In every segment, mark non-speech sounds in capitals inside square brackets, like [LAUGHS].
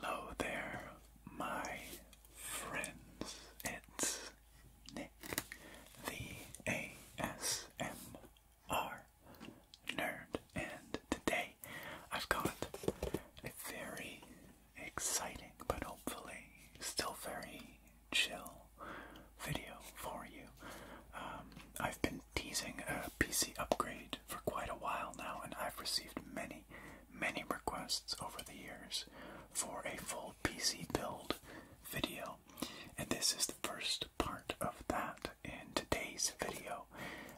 Hello there, my friends. It's Nick, the ASMR are Nerd, and today I've got a very exciting but hopefully still very chill video for you. Um, I've been teasing a PC upgrade for quite a while now, and I've received many, many requests over the years for a full PC build video. And this is the first part of that. In today's video,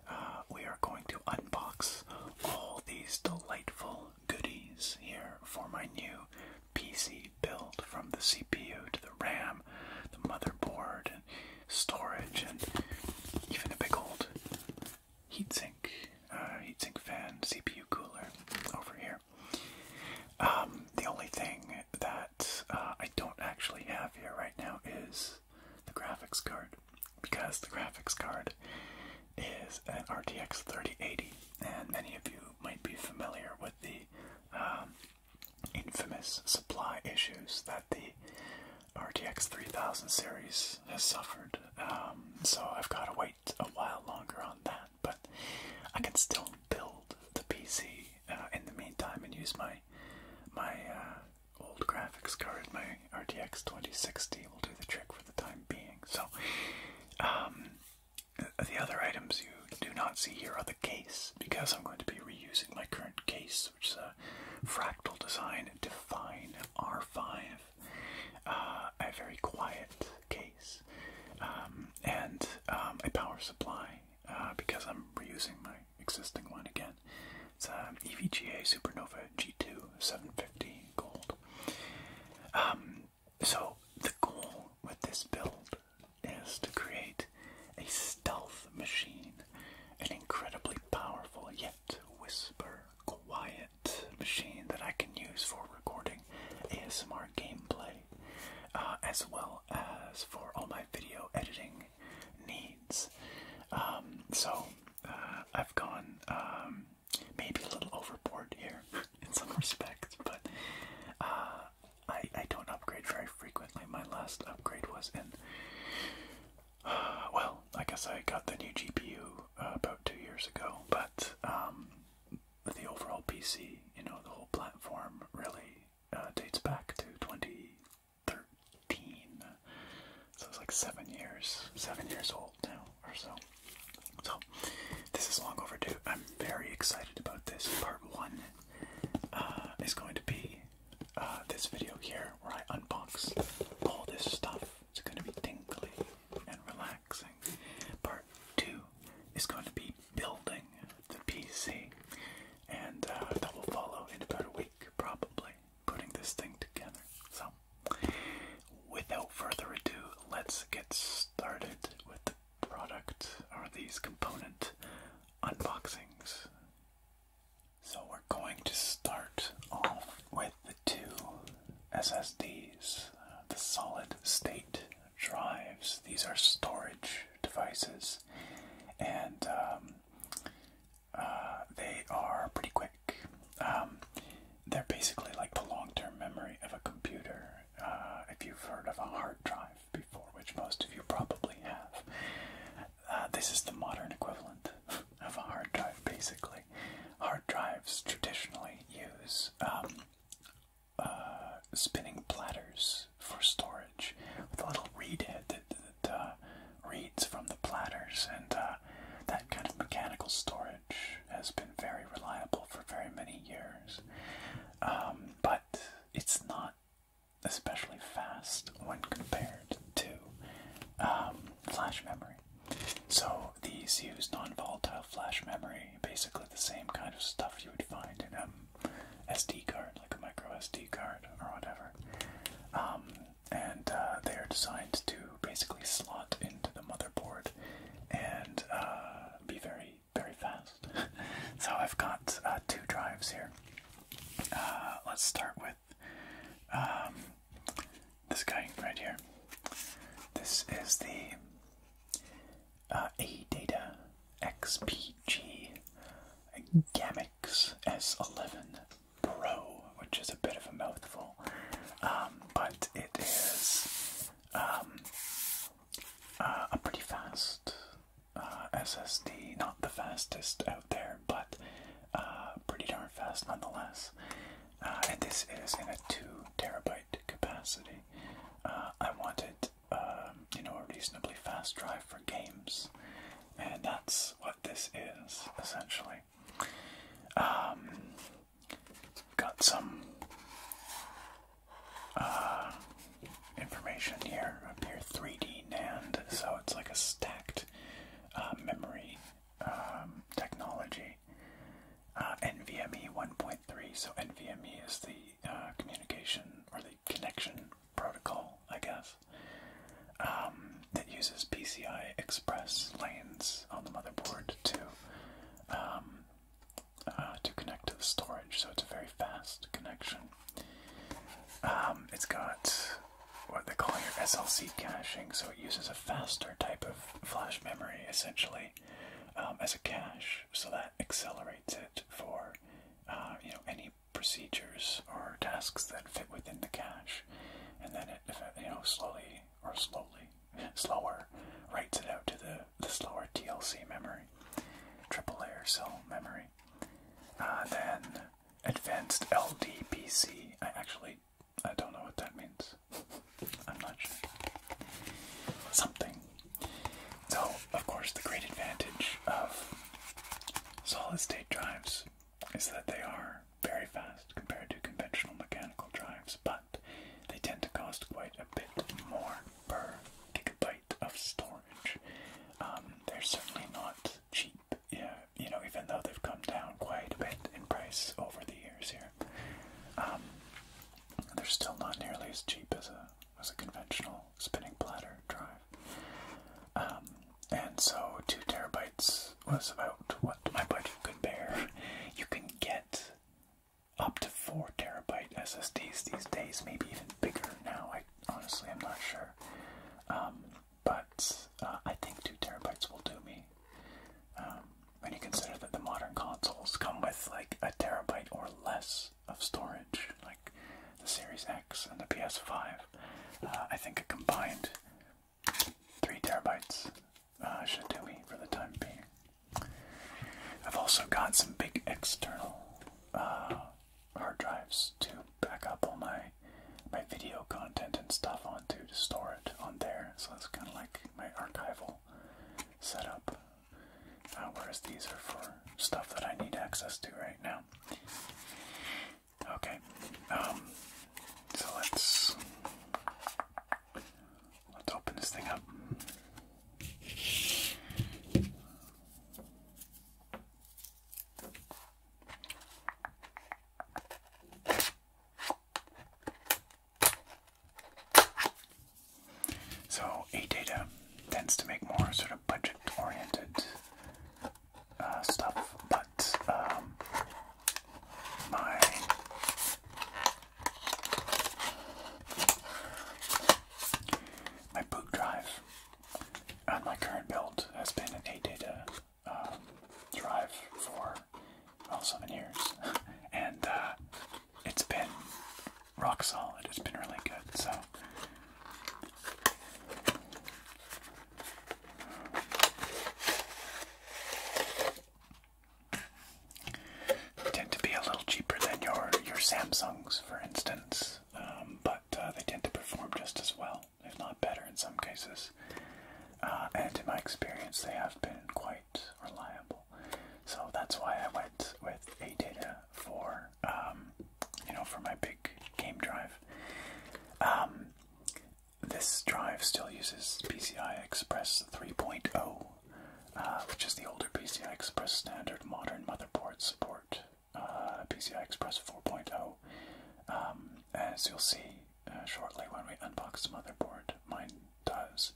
uh, we are going to unbox all these delightful goodies here for my new PC build from the CPU to the RAM, the motherboard, and storage, and even a big old heatsink, uh, heatsink fan, CPU cooler over here. Um, the only thing that uh, I don't actually have here right now is the graphics card because the graphics card is an RTX 3080, and many of you might be familiar with the um, infamous supply issues that the RTX 3000 series has suffered. Um, so I've got to wait a while longer on that, but I can still build the PC uh, in the meantime and use my my uh, old graphics card, my RTX 2060 will do the trick for the time being. So, um, the other items you do not see here are the case, because I'm going to be reusing my current case, which is a fractal design Define R5, uh, a very quiet case, um, and um, a power supply, uh, because I'm reusing my existing one again. It's an um, EVGA Supernova G2 750 gold. Um, so, the goal with this build is to create a stealth machine, an incredibly powerful yet whisper quiet machine that I can use for recording ASMR gameplay, uh, as well as for all my video editing needs. Um, so uh, I've gone um, maybe a little overboard here [LAUGHS] in some respects, but uh, I, I don't upgrade very frequently. My last upgrade was in, [SIGHS] well, I guess I got the new GPU uh, about two years ago, but um, the overall PC, you know, the whole platform really dates back to 20. 13. So it's like seven years, seven years old now or so. So this is long overdue. I'm very excited about this. Part one uh, is going to be uh, this video here where I unbox all this stuff. It's going to be tinkly and relaxing. Part two is going to be building the PC, and uh, that will follow in about a week probably putting this thing together. So, without further ado, let's get started with the product or these component unboxings. So, we're going to start off with the two SSDs, the solid state drives. These are storage devices, and um, uh, they are pretty quick. Um, they're basically like the long-term memory of a computer. Uh, if you've heard of a hard drive before, which most of you probably have, uh, this is the modern equivalent of a hard drive. Basically, hard drives traditionally use um, uh, spinning platters for storage with a little read head uh, reads from the platters, and uh, that kind of mechanical storage has been very reliable for very many years. Um, but it's not especially fast when compared to um, flash memory. So these use non-volatile flash memory, basically the same kind of stuff you would find in an um, SD card, like a micro SD card or whatever and uh, they are designed to basically slot into the motherboard and uh, be very, very fast. [LAUGHS] so I've got uh, two drives here. let's start with um, this guy right here. This is the uh, ADATA XPG Gamix S11 Pro, which is a bit of a mouthful, um, but it is um, uh, a pretty fast uh, SSD. Not the fastest out there, but uh, pretty darn fast nonetheless. and this is in a two terabyte capacity. I wanted, um, you know, a reasonably fast drive for games. And that's what this is, essentially. Um, got some uh, information here up here 3D NAND, so it's like a stacked uh, memory um, technology. Uh, NVMe 1.3, so NVMe is the communication or the connection protocol, I guess, um, that uses PCI Express lanes on the motherboard to um, uh, to connect to the storage. So it's a very fast connection. Um, it's got what they call your SLC caching, so it uses a faster type of flash memory essentially as a cache, so that accelerates it for uh, you know any procedures or tasks that fit within the cache, and then it, you know, slowly or slowly, [LAUGHS] slower, writes it out to the, the slower TLC memory, triple layer cell memory. Uh, then advanced LDPC. I actually I don't know what that means. [LAUGHS] I'm not sure. Something. So, of course, the great advantage of solid state drives is that they are very fast compared to conventional mechanical drives, but they tend to cost quite a bit more per gigabyte of storage. Um, they're certainly not cheap, yeah, you know, even though they've come down quite a bit in price over the years here. Um, they're still not nearly as cheap as a as a conventional spinning platter drive. Um, and so two terabytes was about what my budget could bear. You can get up to four terabyte SSDs these days, maybe even bigger now. I honestly I'm not sure. Um, but uh, I think two terabytes will do me. Um, when you consider that the modern consoles come with like a terabyte or less of storage, like the Series X and the PS5, uh, I think a combined Three terabytes uh, should do me for the time being. I've also got some big external uh, hard drives to back up all my my video content and stuff onto to store it on there. So that's kind of like my archival setup. Uh, whereas these are for stuff that I need access to right now. Okay. Um, so let's let's open this thing up. So, A Data tends to make more sort of budget oriented uh, stuff, but um, my my boot drive on my current build has been an 8 data um, drive for well seven years, [LAUGHS] and uh, it's been rock solid. It's been really good. So tend to be a little cheaper than your your Samsungs, for instance, um, but uh, they tend to perform just as well, if not better, in some cases. Uh, and in my experience, they have been quite reliable. So that's why I went with a data for um, you know for my big game drive. Um, this drive still uses PCI Express 3.0, uh, which is the older PCI Express standard modern motherboard support. Uh, PCI Express 4.0. Um, as you'll see uh, shortly when we unbox the motherboard, mine does.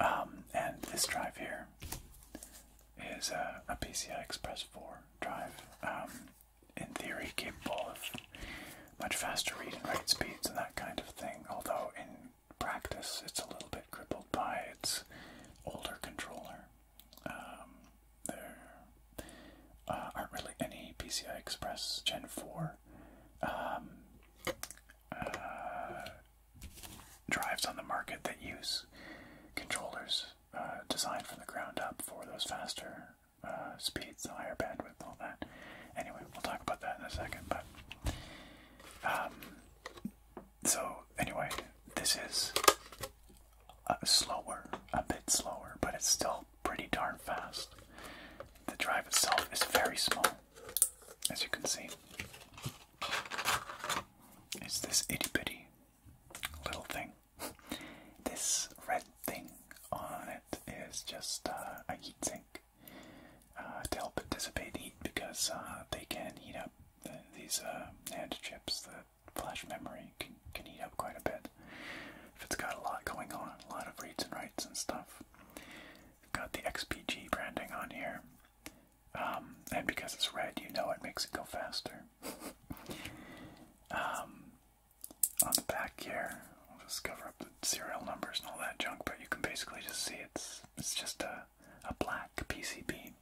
Um, and this drive here is a, PCI Express 4 drive. Um, in theory, capable of much faster read and write speeds and that kind of thing, although in practice it's a little bit crippled by its older controller. Um, there uh, aren't really any PCI Express Gen 4 um, uh, drives on the market that use controllers uh, designed from the ground up for those faster uh, speeds, the higher bandwidth, all that. Anyway, we'll talk about that in a second. But um, so anyway, this is uh, slower, a bit slower, but it's still pretty darn fast. The drive itself is very small, as you can see. It's this itty bitty little thing. [LAUGHS] this red thing on it is just uh, a heatsink uh, to help it dissipate heat because uh, they can heat up these NAND chips. The flash memory can, can heat up quite a bit if it's got a lot going on, a lot of reads and writes and stuff. got the XPG branding on here. Um, and because it's red, you know it makes it go faster. [LAUGHS] Um, on the back here. We'll just cover up the serial numbers and all that junk, but you can basically just see it's it's just a a black PCB.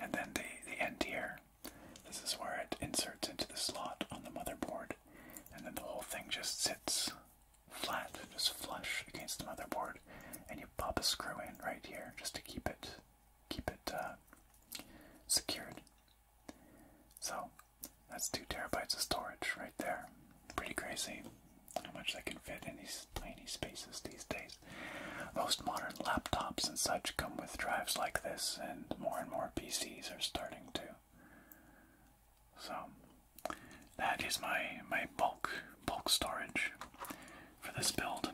And then the the end here. This is where it inserts into the slot on the motherboard, and then the whole thing just sits flat, just flush against the motherboard, and you pop a screw in right here just to keep it keep it uh, secured. So that's two terabytes of storage right there. Pretty crazy how much they can fit in these tiny spaces these days. Most modern laptops and such come with drives like this, and more and more PCs are starting to. So that is my my bulk bulk storage for this build.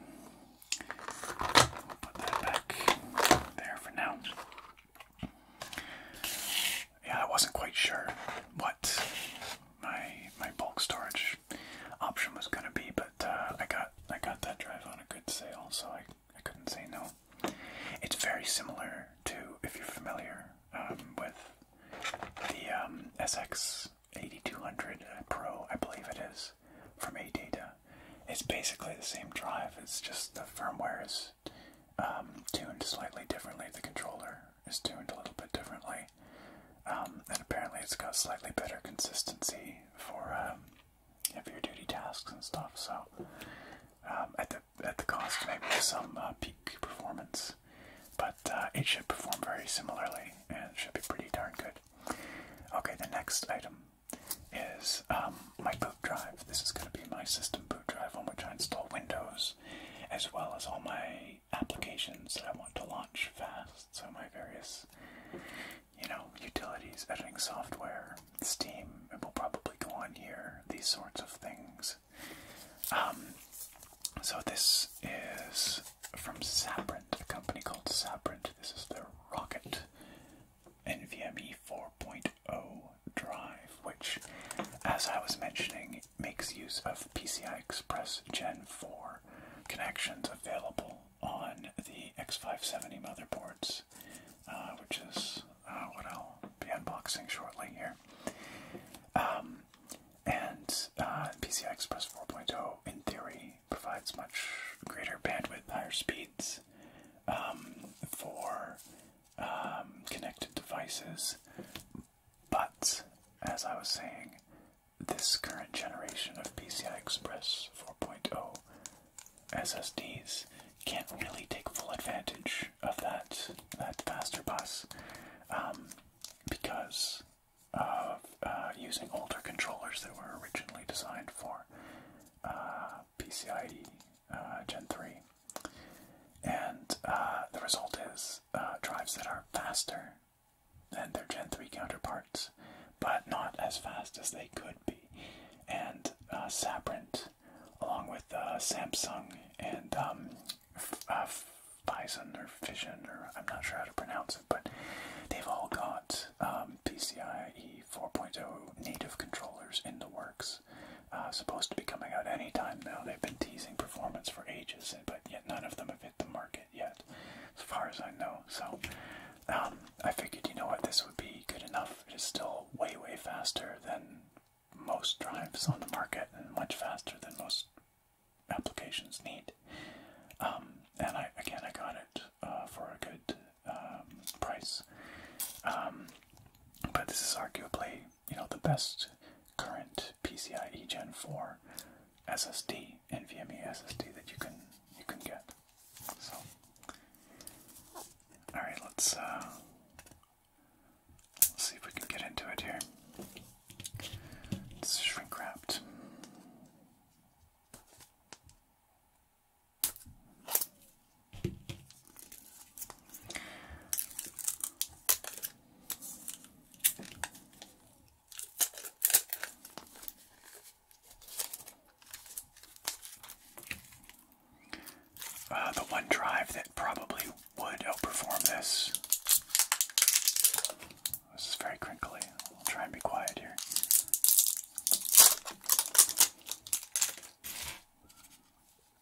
We'll put that back there for now. Yeah, I wasn't quite sure what my my bulk storage option was gonna be, but uh, I got I got that drive on a good sale, so I I couldn't say no. It's very similar to if you're familiar um, with the um, SX 8200 Pro, I believe it is, from AData. It's basically the same drive. It's just the firmware is um, tuned slightly differently. The controller is tuned a little bit differently, um, and apparently it's got slightly better consistency for um, heavier duty tasks and stuff. So um, at the at the cost maybe of some uh, peak performance, but uh, it should perform very similarly and should be pretty darn good. Okay, the next item is um, my boot drive. This is going to be my system boot drive on which I install Windows, as well as all my applications that I want to launch fast. So my various, you know, utilities, editing software, Steam. It will probably go on here. These sorts of things. Um, so this is from Sabrent, a company called Sabrent. This is their Rocket NVMe 4.0 drive, which, as I was mentioning, makes use of PCI Express Gen 4 connections available on the X570 motherboards, uh, which is uh, what I'll be unboxing shortly here. Um, and uh, PCI Express 4.0, in theory, provides much greater bandwidth, higher speeds um, for um, connected devices. But as I was saying, this current generation of PCI Express 4.0 SSDs can't really take full advantage of that that faster bus um, because of uh, using older controllers that were originally designed for uh, PCIe uh, Gen 3. And uh, the result is uh, drives that are faster than their Gen 3 counterparts, but not as fast as they could be. And uh, Saprint, along with Samsung and um, Bison or Vision or I'm not sure how to pronounce it, but they've all got um, PCIe 4.0 native controllers in the works is uh, supposed to be coming out anytime now. They've been teasing performance for ages, but yet none of them have hit the market yet, as far as I know. So um, I figured, you know what, this would be good enough. It is still way, way faster than most drives on the market, and much faster than most applications need. Um, and I again, I got it uh, for a good um, price. Um, but this is arguably, you know, the best current PCIe Gen 4 SSD, NVMe SSD that you can you can get. So, all right, let's uh, let's see if we can get into it here. It's shrink wrapped. Uh, the one drive that probably would outperform this. This is very crinkly. I'll try and be quiet here.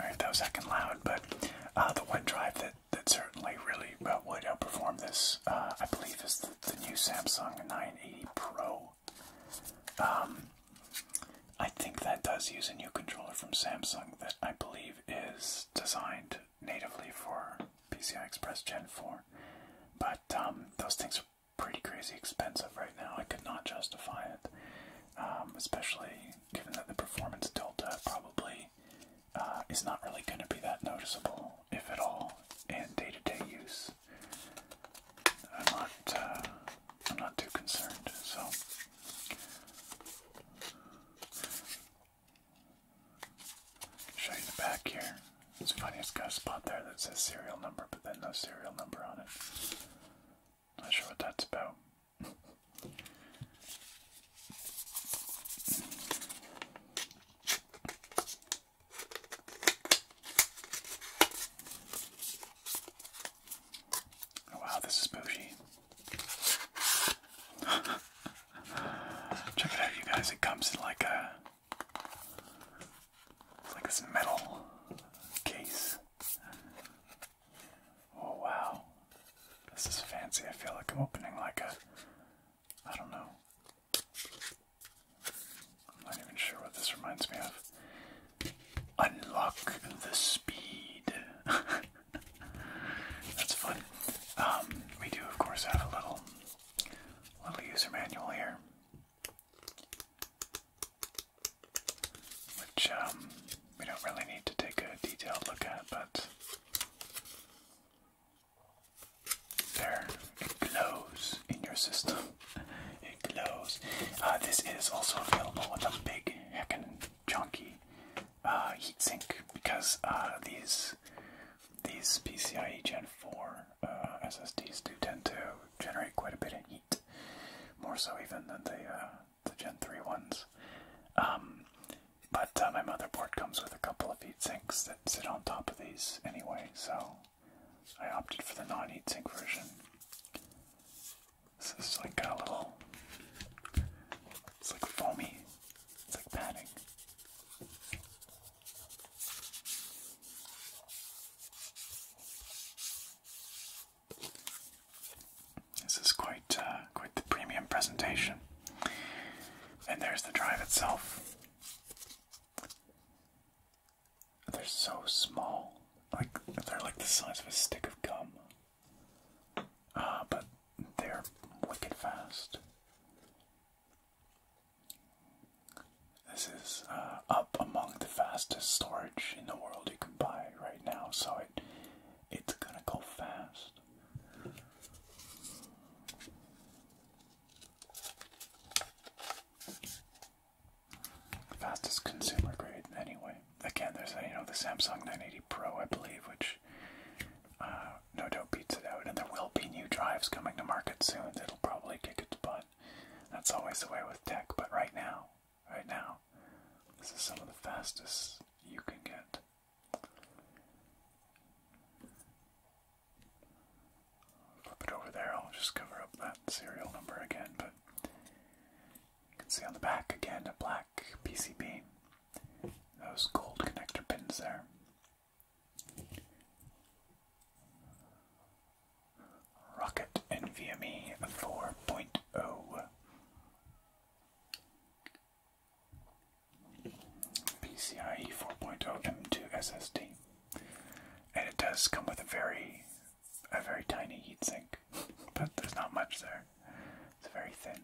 All right, that was heckin' loud, but uh, the one drive that, that certainly really uh, would outperform this, uh, I believe, is the, new Samsung 980 Pro. Um, I think that does use a new controller from Samsung that I believe is designed natively for PCI Express Gen 4. But um, those things pretty crazy expensive right now. I could not justify it, um, especially given that the performance delta probably uh, is not really going to be that noticeable, if at all, in day-to-day use. I'm not. Uh, I'm not too concerned. So. Show you the back here. It's funny, it's spot there that says serial number, but then no serial number on it. Not sure what that's about. Oh, wow, this is bougie. [LAUGHS] Check it out, you guys. It comes in like a it's like this metal case. Oh wow. This is fancy. I feel like I'm opening like a I don't know. I'm not even sure what this reminds me of. Unlock the speed. [LAUGHS] That's fun. Um, we do of course have a little little user manual here. Which um, we don't really need to take a detailed look at, but there it glows in your system. [LAUGHS] It glows. Uh, this is also available with a big hecken, chunky uh, heatsink because uh, these these PCIe Gen 4 uh, SSDs do tend to generate quite a bit of heat, more so even than the uh, the Gen 3 ones. Um, but uh, my motherboard comes with a couple of heat sinks that sit on top of these anyway, so I opted for the non-heat sink version. This is like a little, it's like foamy, it's like padding. This is quite uh, quite the premium presentation. And there's the drive itself. They're so small, like they're like the size of a stick of gum. Uh, but they're wicked fast. This is uh, up among the fastest storage in the world you can buy right now, so it it's gonna go fast. Fastest consumer grade, anyway. Again, there's you know the Samsung 980 Pro, I believe, which uh, no doubt beats it out, and there will be new drives coming to market soon that'll probably kick its butt. That's always the way with tech, but right now, right now, this is some of the fastest you can get. Flip it over there, I'll just cover up that serial number again, but you can see on the back again a black PCB. Those gold connector pins there. Rocket NVMe 4.0 PCIe 4.0 M2 SSD. And it does come with a very a very tiny heatsink, but there's not much there. It's very thin.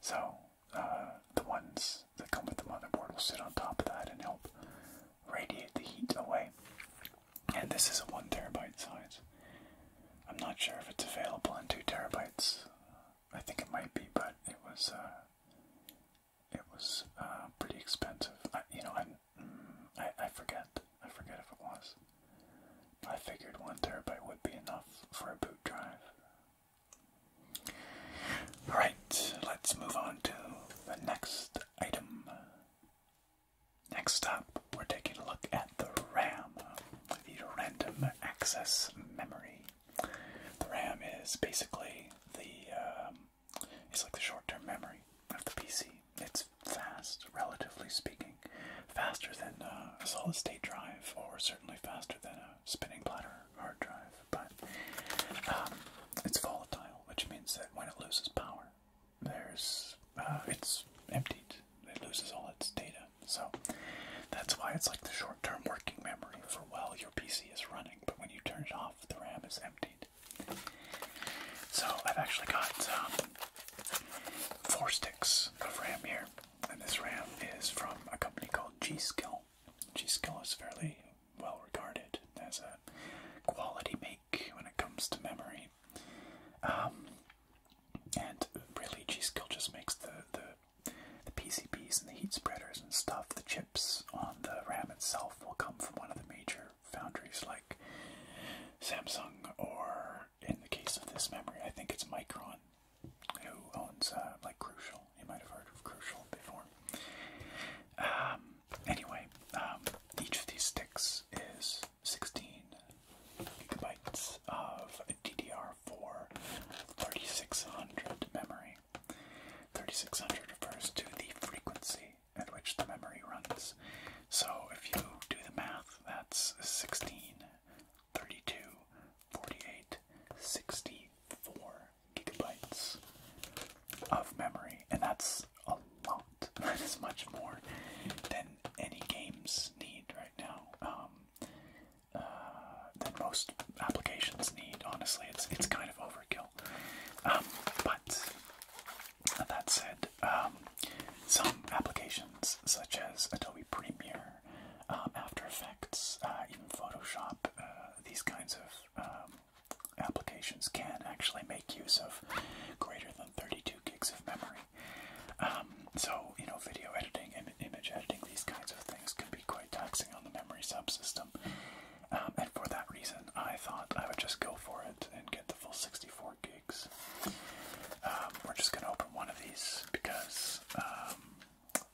So uh, the ones that come with the motherboard will sit on top of that and help radiate the heat away. And this is a one terabyte size. I'm not sure if it's available in two terabytes. I think it might be, but it was uh, it was uh, pretty expensive. I, you know, mm, I I forget. I forget if it was. I figured one terabyte would be enough for a boot drive. All right, let's move on to the next item. Next up, we're taking a look at the RAM, the random access memory. The RAM is basically the um, it's like the short-term memory of the PC. It's fast, relatively speaking, faster than a solid-state drive, or certainly faster than a spinning platter hard drive but um, it's volatile, which means that when it loses power, there's uh, it's emptied. It loses all its data, so that's why it's like the short-term working memory for while your PC is running. But when you turn it off, the RAM is emptied. So I've actually got um, four sticks of RAM here, and this RAM is from a company called G-Skill. G-Skill is fairly well regarded as a quality make when it comes to memory. Um, and really, G-Skill just makes the, the, the PCBs and the heat spreaders and stuff, the chips on the RAM itself will come from one of the major foundries like Samsung or, in the case of this memory, I think it's Micron who owns uh, like Crucial. You might have heard of Crucial before. Um, anyway, um, each of these sticks is 16 gigabytes of DDR4 3600 memory. 3600 refers to the frequency at which the memory runs. So if you do the math, that's 16, 32, 48, 64 gigabytes of memory, and that's a lot. [LAUGHS] That is much more than any games need right now. Um, uh, than most applications need. Honestly, it's it's kind of overkill. Um, but that said, um, some applications such as Adobe Premiere, um, After Effects, uh, even Photoshop, uh, these kinds of um, applications can actually make use of greater than 32 gigs of memory. Um, so, you know, video editing, and image editing, these kinds of things can be quite taxing on the memory subsystem. Um, and for that reason, I thought I would just go for it and get the full 64 gigs. Um, we're just going to open one of these because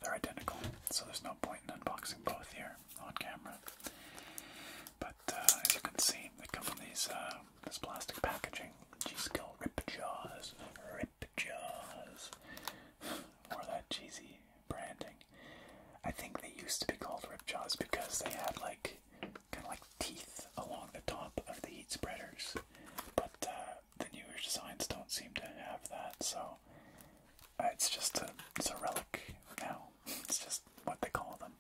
they're identical, so there's no point in unboxing both here on camera. But uh, as you can see, they come in these uh, this plastic packaging. G-Skill Rip Jaws. Rip Jaws. [SIGHS] Or that cheesy branding. I think they used to be called Rip Jaws because they had like kind of like teeth along the top of the heat spreaders. But uh, the newer designs don't seem to have that, so uh, it's just a, it's a relic now. It's just what they call them.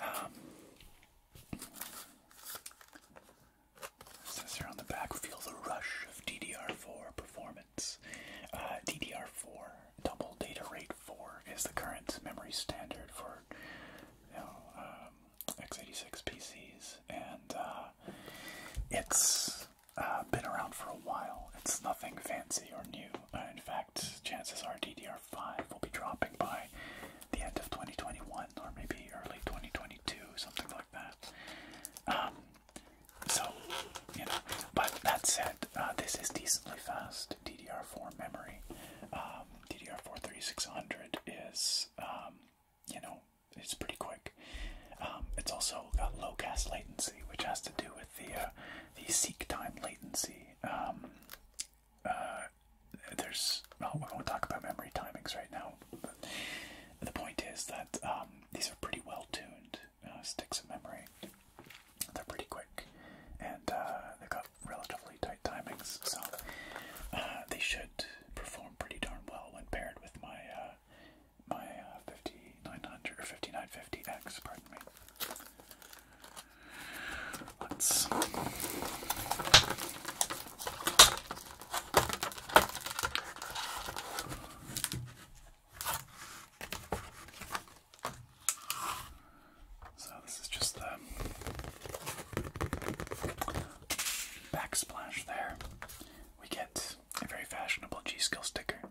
Um, on the back, feel the rush of DDR4 performance. Uh, DDR4 double data rate 4 is the current memory standard for um, x86 PCs, and uh, it's uh, been around for a while. It's nothing fancy or new. Uh, in fact, chances are DDR5 will be dropping by the end of 2021 or maybe early 2022, something like that. Um, so, you know, but that said, uh, this is decently fast DDR4 memory. Um, DDR4 3600 is, um, you know, it's pretty quick. it's also got low cast latency, which has to do with the uh, the seek time latency. Um, uh, there's well, we won't talk about memory timings right now. the point is that um, these are pretty well tuned uh, sticks of memory. They're pretty quick, and uh, they've got relatively tight timings, so they should perform pretty darn well when paired with my my 50 5900 or x pardon me. so this is just the backsplash there. We get a very fashionable G skill sticker. [LAUGHS]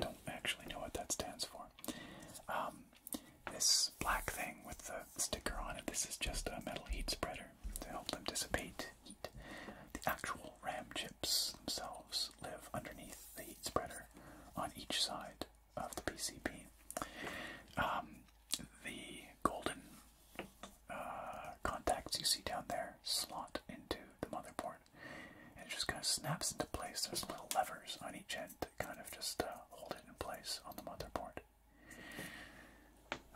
don't actually know what that stands for. Um, this black thing with the sticker on it, this is just a metal heat spreader to help them dissipate heat. The actual RAM chips themselves live underneath the heat spreader on each side of the PCB. Um, the golden uh, contacts you see down there slot into the motherboard it just kind of snaps into place. There's little levers on each end that kind of just uh, hold it in place on the motherboard.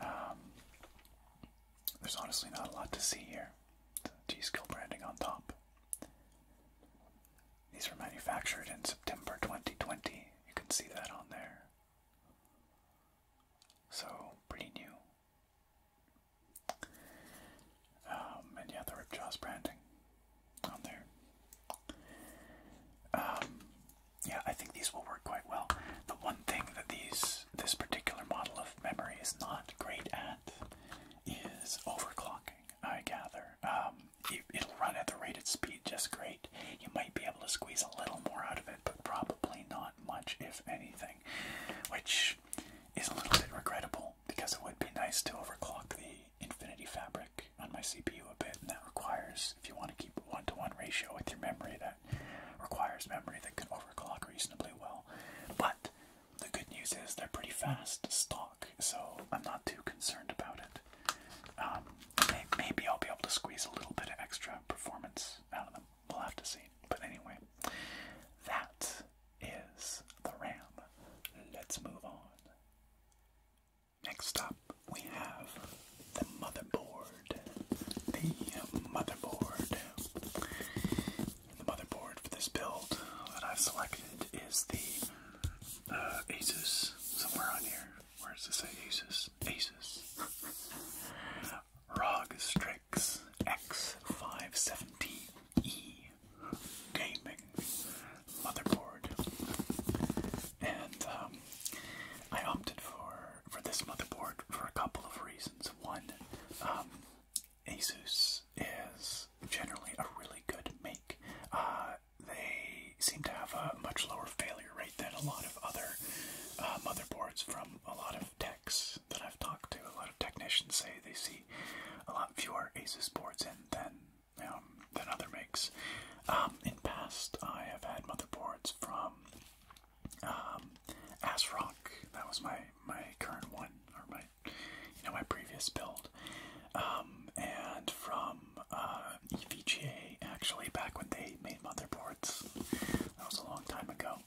Um, there's honestly not a lot to see here. G-Skill branding on top. These were manufactured in September 2020. You can see that on there. So, pretty new. Um, and yeah, the Ripjaws branding on there. Um, yeah, I think these will work quite well. The one thing that these this particular model of memory is not great at is overclocking. I gather um, it, it'll run at the rated speed just great. You might be able to squeeze a little more out of it, but probably not much, if anything, which is a little bit regrettable because it would be nice to overclock the Infinity Fabric on my CPU a bit, and that requires, if you want to keep a one to one ratio with your memory, that requires memory that can overclock reasonably well. But the good news is they're pretty fast stock, so I'm not too concerned about it. Um, maybe I'll be able to squeeze a little bit of extra performance out of them. We'll have to see. But anyway, that is the RAM. Let's move on Next up, we have the motherboard. The motherboard. The motherboard for this build that I've selected is the uh, Asus. Somewhere on here, Where is this it say Asus? Asus. [LAUGHS] ROG Strix X517. E gaming motherboard, and um, I opted for for this motherboard for a couple of reasons. One, um, ASUS is generally a really good make. Uh, they seem to have a much lower failure rate than a lot of other uh, motherboards from a lot of techs that I've talked to. A lot of technicians say they see a lot fewer ASUS boards in than um, than other makes. Um, in past, I have had motherboards from um, ASRock. That was my my current one, or my you know my previous build, um, and from uh, EVGA actually back when they made motherboards. That was a long time ago.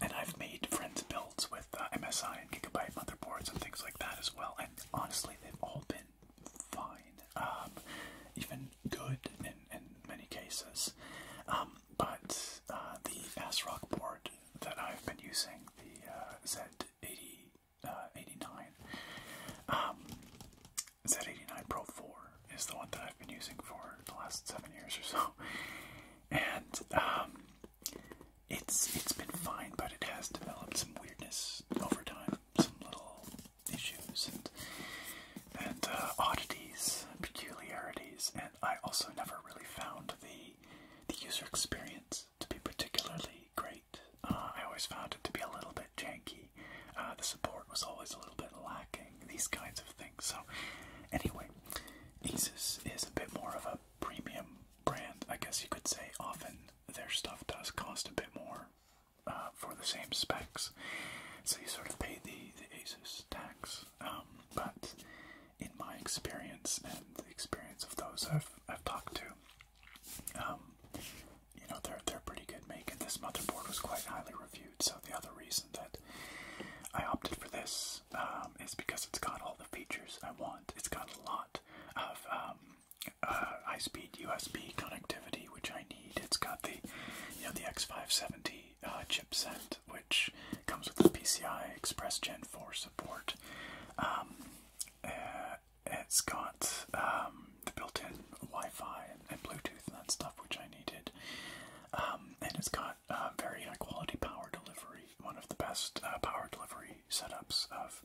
and I've made friends builds with uh, MSI and Gigabyte motherboards and things like that as well honestly, they've all been fine, um, even good in, in many cases. Um, but uh, the ASRock board that I've been using, the uh, Z80. Uh, 89. Um, Z89 Pro 4 is the one that I've been using for the last seven years or so. [LAUGHS] And it's it's been fine, but it has developed some weirdness over time, some little issues and and uh, oddities, peculiarities, and I also never really found the the user experience to be particularly great. Uh, I always found it to be a little bit janky. Uh, the support was always a little bit lacking. These kinds of things. So, anyway, Asus is a bit more of a premium brand, I guess you could say. Often their stuff does cost a bit more uh, for the same specs. So you sort of pay the, the ASUS tax. Um, but in my experience and the experience of those I've, I've talked to, um, you know, they're, they're pretty good Making this motherboard was quite highly reviewed. So the other reason that I opted for this um, is because it's got all the features I want. It's got a lot of uh, high-speed USB connectivity, which I need. It's got the, you know, the X570 uh, chipset, which comes with the PCI Express Gen 4 support. Um, uh, it's got um, the built-in Wi-Fi and, Bluetooth and that stuff, which I needed. Um, and it's got very high-quality power delivery, one of the best power delivery setups of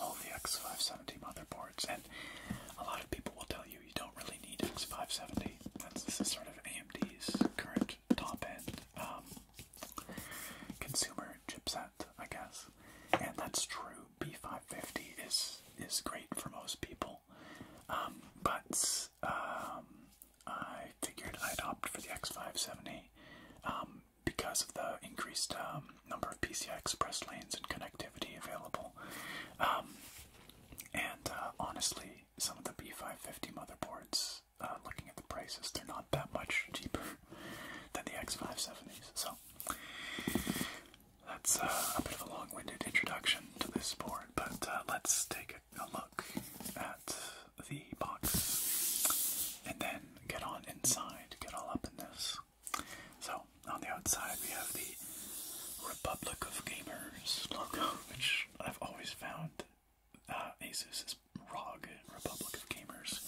all the X570 motherboards, and a lot of people will tell you you don't really need X570. That's this is sort of AMD's current top-end um, consumer chipset, I guess, and that's true. B550 is is great for most people, um, but um, I figured I'd opt for the X570 because of the increased um, number of PCI Express lanes and connectivity available. Um, and uh, honestly, some of the B550 motherboards, uh, looking at the prices, they're not that much cheaper than the X570s. So that's uh, a bit of a long-winded introduction to this board, but let's take a look at the box and then get on inside to get all up in this. So, on the outside, we have the Republic of Gamers logo, which I've always found uh, Asus's ROG, Republic of Gamers,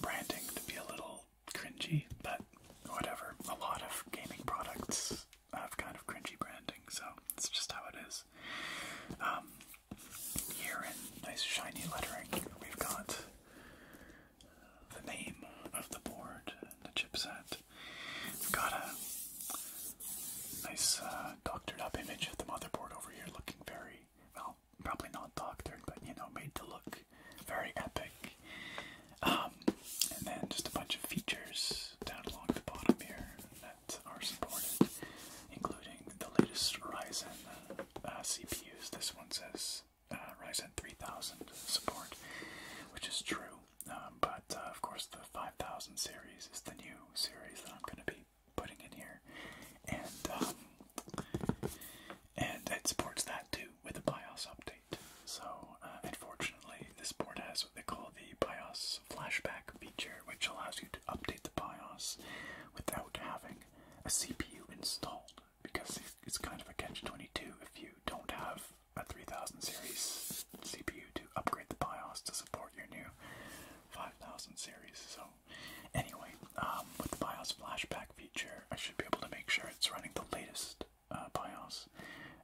branding to be a little cringy, but whatever. A lot of gaming products have kind of cringy branding, so it's just how it is. Um, here in nice shiny lettering, we've got the name of the board and the chipset. We've got a nice uh, doctored up image of the motherboard over here looking very, well, probably not doctored, but you know, made to look very epic. Um, and then just a bunch of features down along the bottom here that are supported, including the latest Ryzen uh, CPUs. This one says uh, Ryzen 3000 support, which is true. Um, but uh, of course, the 5000 series is the new series that I'm going to be putting in here, and um, and it supports that too with a BIOS update. So uh, unfortunately, this board has what they call the BIOS flashback feature, which allows you to update the BIOS without having a CPU installed because it's kind of a catch 22 if you don't have a 3000 series CPU to upgrade the BIOS to support your new 5000 series. So, anyway, um, with the BIOS flashback feature, I should be able to make sure it's running the latest uh, BIOS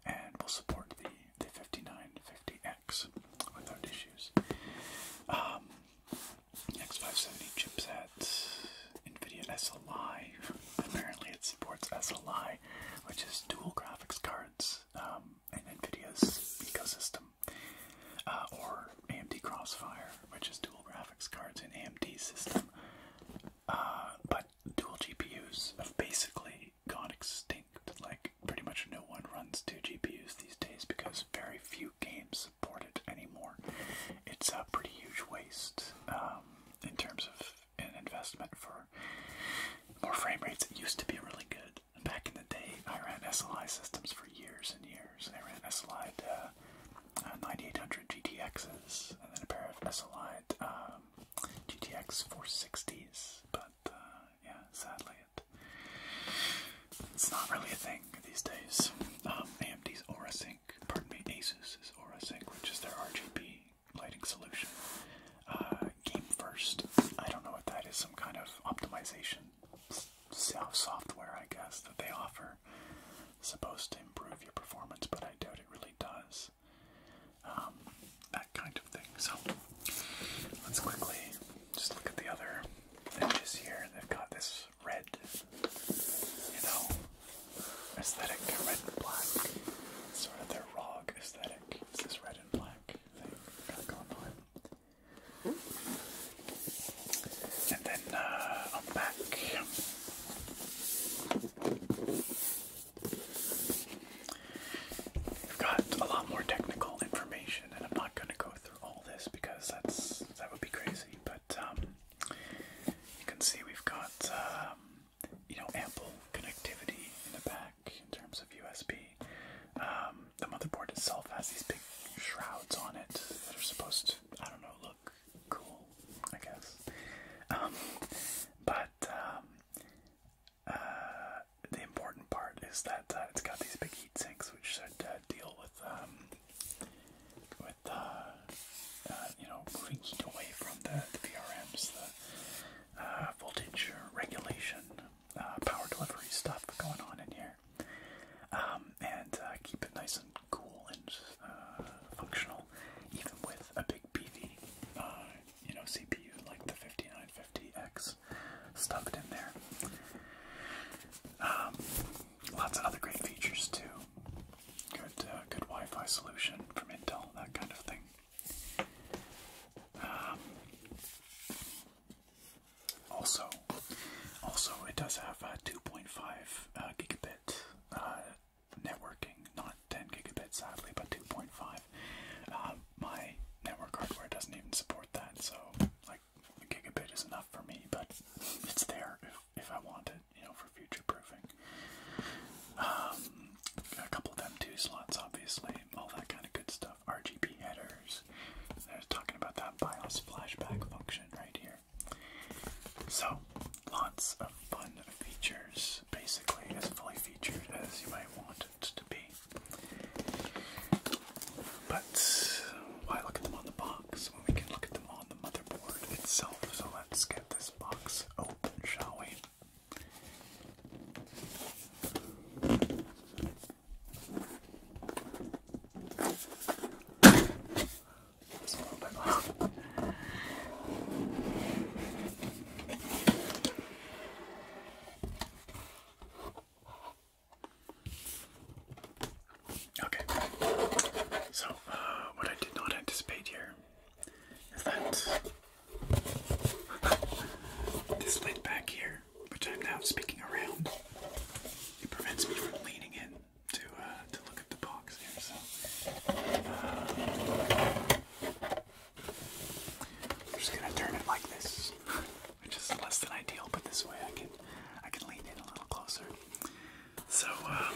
and will support the, the 5950X without issues. Um, X570 chipset, NVIDIA SLI. Apparently, it supports SLI, which is dual graphics cards um, in NVIDIa's ecosystem, uh, or AMD Crossfire, which is dual graphics cards in AMD's system. Uh, but dual GPUs have basically gone extinct. Like, pretty much no one runs two GPUs these days because very few games support it anymore. It's a pretty huge waste um, in terms of an investment for more frame rates. It used to be really good. Back in the day, I ran SLI systems for years and years. I ran SLI uh, uh, 9800 GTXs and then a pair of SLI um, GTX 460s, but uh, yeah, sadly it, it's not really a thing these days. Um, AMD's Aura Sync pardon me, Asus is Aura Sync, which is their RGB lighting solution. Uh, Game First, I don't know what that is, some kind of optimization software, I guess, that they offer. supposed to improve your performance, but I doubt it really does. Um, that kind of thing. So, let's quickly just look at the other images here. They've got this red, you know, aesthetic, red and black, sort of their ROG aesthetic. Is red and black thing got going on? And then I'm uh, back. We've got a lot more technical information, and I'm not going to go through all this because that's that would be crazy. But um, you can see we've got um, you know ample connectivity in the back in terms of USB. Um, the motherboard itself has these big shrouds on it that are supposed to I don't know look cool I guess, but. Uh, the important part is that uh, it's got these big heat sinks, which should uh, deal with with uh, uh, you know moving heat away from the, VRMs, the uh, voltage regulation, power delivery stuff going on in here, um, and keep it nice and cool and functional, even with a big PV, you know CPU like the 5950X stuffed in there. Um, lots of other great features too. Good, uh, good Wi-Fi solution from Intel, that kind of thing. Um, also, also it does have a 2.5 uh, gigabit uh, networking, not 10 gigabit sadly, but 2.5. my network hardware doesn't even support that, so like a gigabit is enough for me, but it's there if I want it, you know, for future proofing. Um, a couple of them two slots, obviously, all that kind of good stuff. RGB headers. There's talking about that BIOS flashback function right here. So, lots of fun features. Basically, as fully featured as you might want it to be. But why look at them on the box? we can look at them on the motherboard itself. So let's get this box open, shall we? Okay, so uh, what I did not anticipate here is that [LAUGHS] this lid back here, which I'm now speaking around, it prevents me from leaning in to uh, to look at the box So uh, I'm just gonna turn it like this, [LAUGHS] which is less than ideal, but this way I can I can lean in a little closer. So, uh,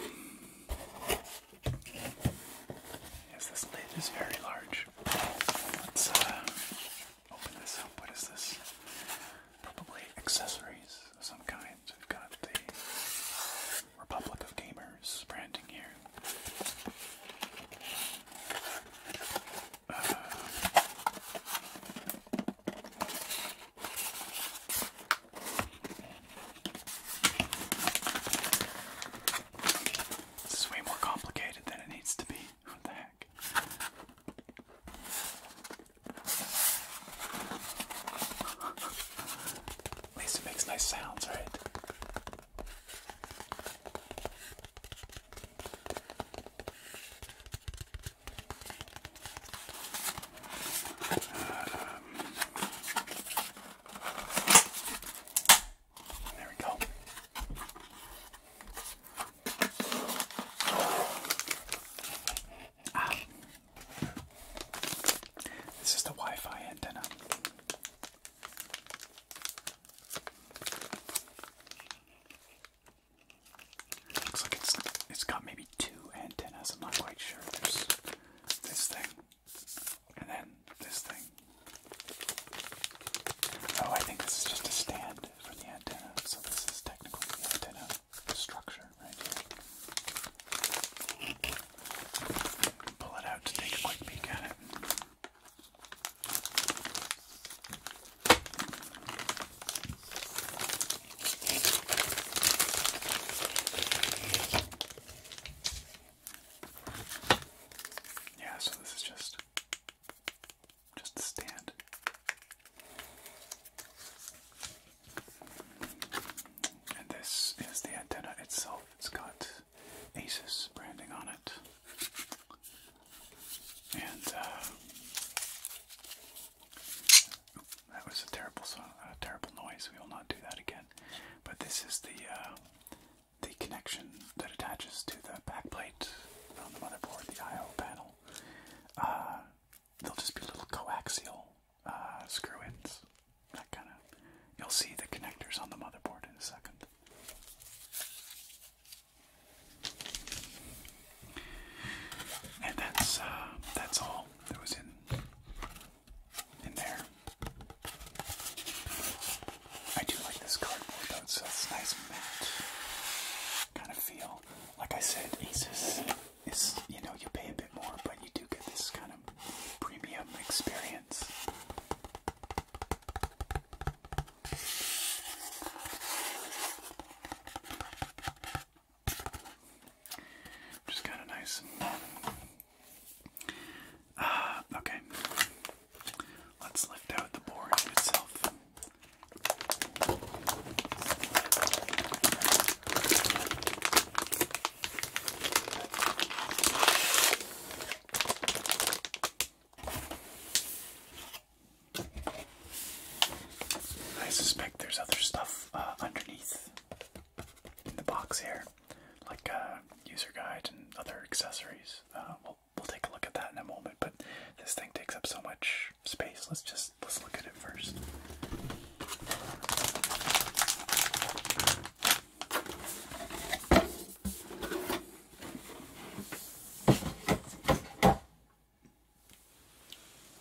yes, this blade is very large. Let's uh, open this up. What is this? Probably accessories of some kind. We've got the Republic of Gamers branding here. Uh, this is way more complicated than it needs to be. What the heck? At least it makes nice sounds, right? there we go. Ah. This is the Wi Fi antenna. Looks like it's it's got maybe two antennas. I'm not quite sure this thing, and then this thing. Oh, I think this is just a stand for the antenna, so this is technically the antenna structure right here. Pull it out to take a quick peek at it. Yeah, so this is just just stand. And this is the antenna itself. It's got Asus branding on it. And uh, that was a terrible terrible noise. We will not do that again. But this is the uh, the connection that attaches to the backplate on the motherboard, the I/O panel. Uh, they'll just be little coaxial uh, screw-ins. That kind of. You'll see the connectors on the motherboard in a second. And that's uh, that's all that was in in there. I do like this cardboard though, it's, it's nice matte kind of feel. Like I said, Asus is, you know, you pay a bit more, but you do get this kind of premium experience. Just kind of nice. Uh, okay. Let's lift out the board itself. I suspect there's other stuff uh, underneath in the box here, like uh, user guide and other accessories. Uh, we'll take a look at that in a moment. But this thing takes up so much space. Let's just let's look at it first.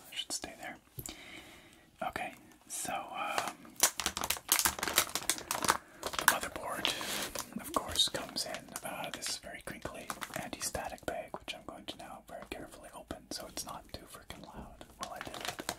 I should stay there. Okay, so um, the motherboard, of course, comes in. Uh, this is very crinkly anti-static bag, which I'm going to now very carefully open, so it's not too freaking loud while I do it.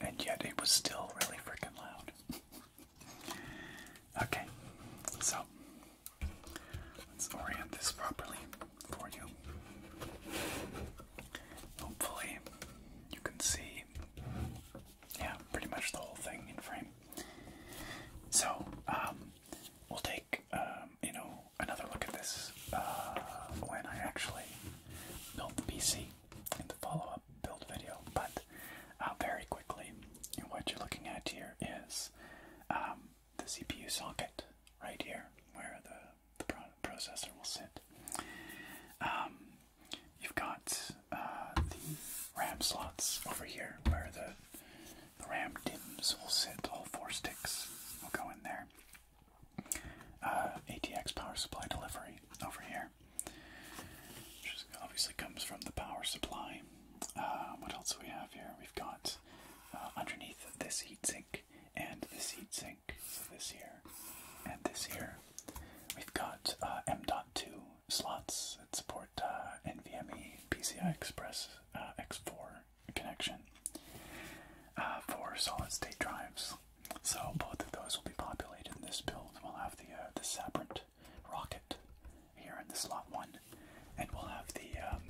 And yet it was still really freaking loud. [LAUGHS] okay, so Let's orient this properly for you. Hopefully, you can see, yeah, pretty much the whole thing in frame. So, um, we'll take, um, you know, another look at this uh, when I actually built the PC in the follow up build video. But uh, very quickly, what you're looking at here is um, the CPU socket right here where the, the processor will sit. Um, you've got uh, the RAM slots over here where the, the RAM DIMMs will sit. All four sticks will go in there. Uh, ATX power supply delivery over here, which obviously comes from the power supply. Uh, what else do we have here? We've got underneath this heatsink and the seed sink. So this here and this here. We've got uh, M.2 slots that support uh, NVMe PCI Express uh, X4 connection uh, for solid state drives. So both of those will be populated in this build. We'll have the uh, the Sabrent rocket here in the slot one, and we'll have the um,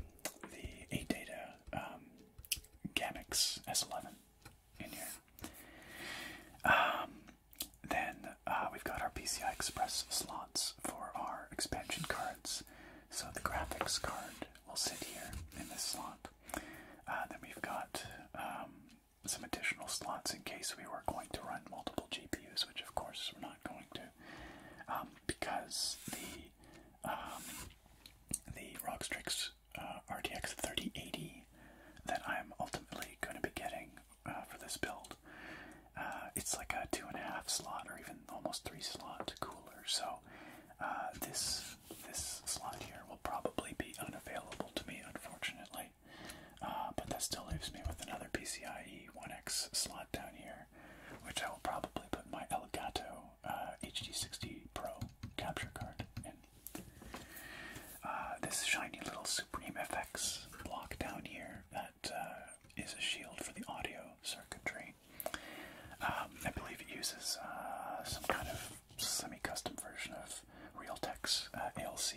the eight data um, Gamex S11 in here. Um, then uh, we've got our PCI Express slots for our expansion cards. So the graphics card will sit here in this slot. Uh, then we've got um, some additional slots in case we were going to run multiple GPUs, which of course we're not going to, um, because the the Rockstrix uh, RTX 3080 that I'm ultimately going to be getting uh, for this build. Uh, it's like a two and a half slot or even almost three slot cooler. So this this slot here will probably be unavailable to me, unfortunately. but that still leaves me with another PCIe 1X slot down here which I will probably put my Elgato HD60 uh, Pro capture card in. Uh, this shiny little Supreme FX block down here that uh, is a shield for the audio circuitry. Um, I believe it uses some kind of semi-custom version of Realtek's ALC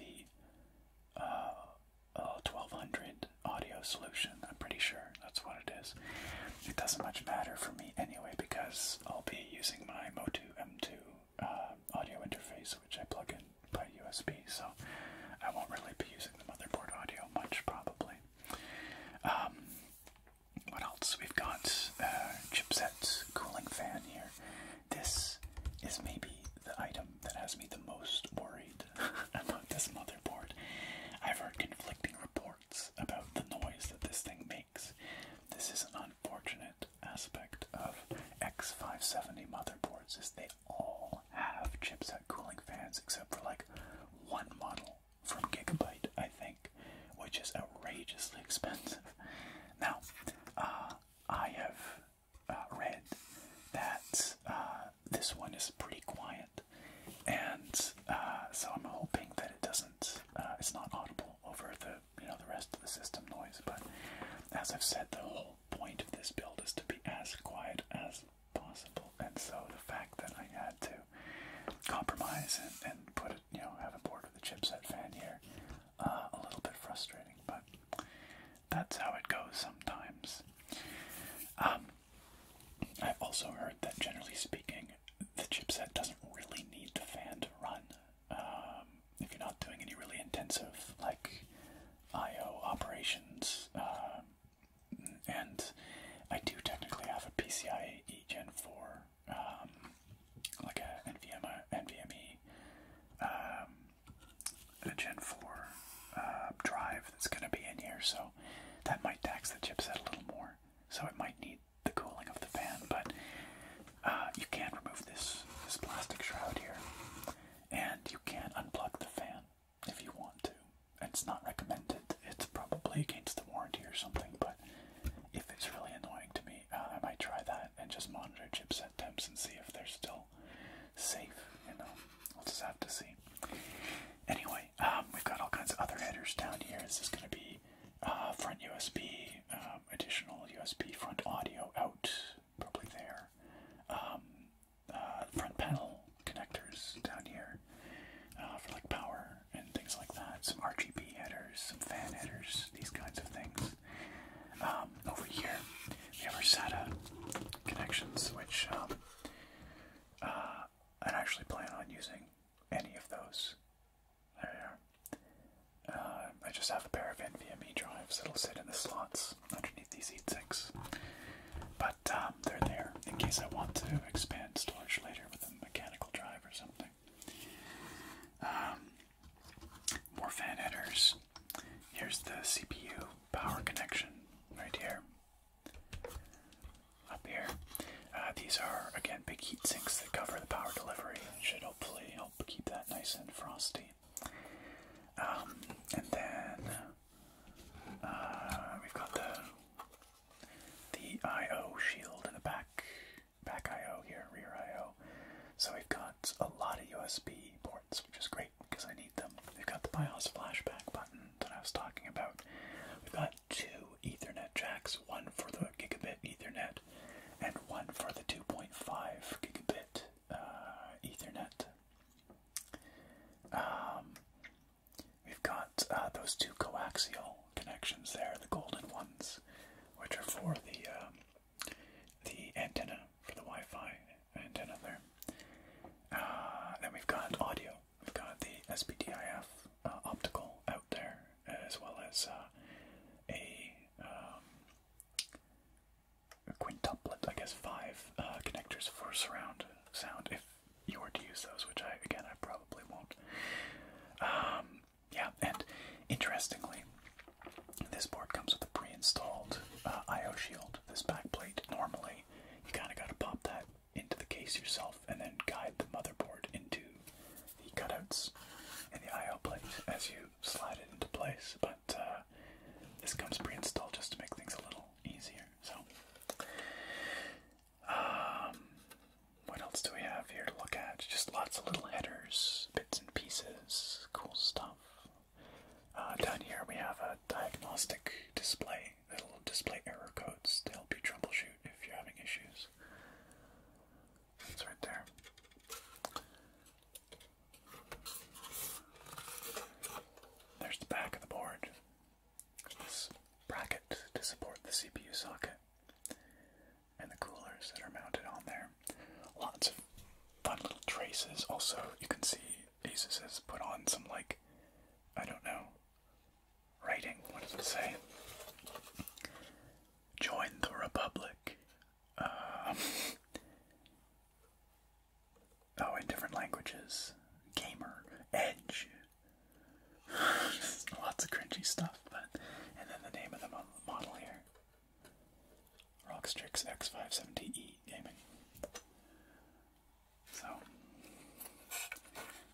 1200 audio solution I'm pretty sure that's what it is. It doesn't much matter for me anyway because I'll be using my Motu M2 uh, audio interface, which I plug in by USB, so I won't really be using the motherboard audio much probably. Um, what else? We've got uh, chipset cooling fan here. This is maybe the item that has me the most worried [LAUGHS] about this motherboard. I've heard conflicting reports about the noise that this thing makes. This is an unfortunate aspect of X570 motherboards is they all have chipset cooling fans except for like one model from Gigabyte, I think, which is outrageously expensive. Now, uh, I have uh, read that uh, this one is pretty quiet and uh, so I'm hoping that it doesn't. Uh, it's not audible over the you know the rest of the system noise. But as I've said, the whole point of this build is to be as quiet as possible, and so the fact that I had to compromise and, put it, you know, have a board with a chipset fan here, uh, a little bit frustrating, but that's how it goes sometimes. Um, I've also heard that generally speaking, the chipset doesn't really need the fan to run. Um, if you're not doing any really intensive like I/O operations, um, and I do technically have a PCIe Gen 4, um, like a NVMe, a Gen 4 uh, drive that's going to be in here, so that might tax the chipset a little more. So it might need the cooling of the fan, but uh, you can remove this this plastic shroud here, and you can unplug the fan if you want to. It's not recommended. It's probably against the warranty or something, but if it's really annoying to me, uh, I might try that and just monitor chipset temps and see if they're still safe. You know, we'll just have to see. Anyway, um, we've got all kinds of other headers down here. This is going to be uh, front USB, um, additional USB front audio out, probably there. Um, uh, front panel connectors down here uh, for like power and things like that. Some RGB headers, some fan headers, these kinds of things. over here, we have our SATA connections, which I'd actually plan on using any of those. There uh, I just have a pair of NVMe drives that'll sit in the slots underneath these E6. But um, they're there in case I want to expand storage later with a mechanical drive or something. Um, more fan headers. Here's the CPU power connection right here up here. Uh, these are, again, big heat sinks that cover the power delivery should hopefully help keep that nice and frosty. Um, and then uh, we've got the the I.O. shield in the back, back I.O. here, rear I.O. So we've got a lot of USB ports, which is great because I need them. We've got the BIOS flashback button that I was talking about. We've got two Ethernet jacks one for the gigabit Ethernet and one for the 2.5 gigabit uh, Ethernet. Um, we've got uh, those two coaxial connections there, the golden ones, which are for the um, the antenna for the Wi-Fi antenna there. Uh, then we've got audio I've got the SPDIF uh, optical out there, as well as uh, um, a, quintuplet, I guess, five uh, connectors for surround sound if you were to use those, which I, again, I probably won't. Um, yeah, and interestingly, this board comes with a pre installed uh, IO shield, this back plate Normally, you kind of got to pop that into the case yourself and then guide the motherboard into the cutouts and the IO plate as you slide it into place. But uh, this comes pre-installed just to make things a little easier. So, um, what else do we have here to look at? Just lots of little headers, bits and pieces, cool stuff. Uh, down here we have a diagnostic display, that will display error codes to help you troubleshoot if you're having issues. It's right there. There's the back of the board. This bracket to support the CPU socket and the coolers that are mounted on there. Lots of fun little traces. Also, you can see Asus has put on some, like, I don't know, writing. What does it say? Join the Republic. Um, [LAUGHS] oh, in different languages. Gamer. Edge. [LAUGHS] Lots of cringy stuff, but. And then the name of the model here Rockstrix X570E Gaming. So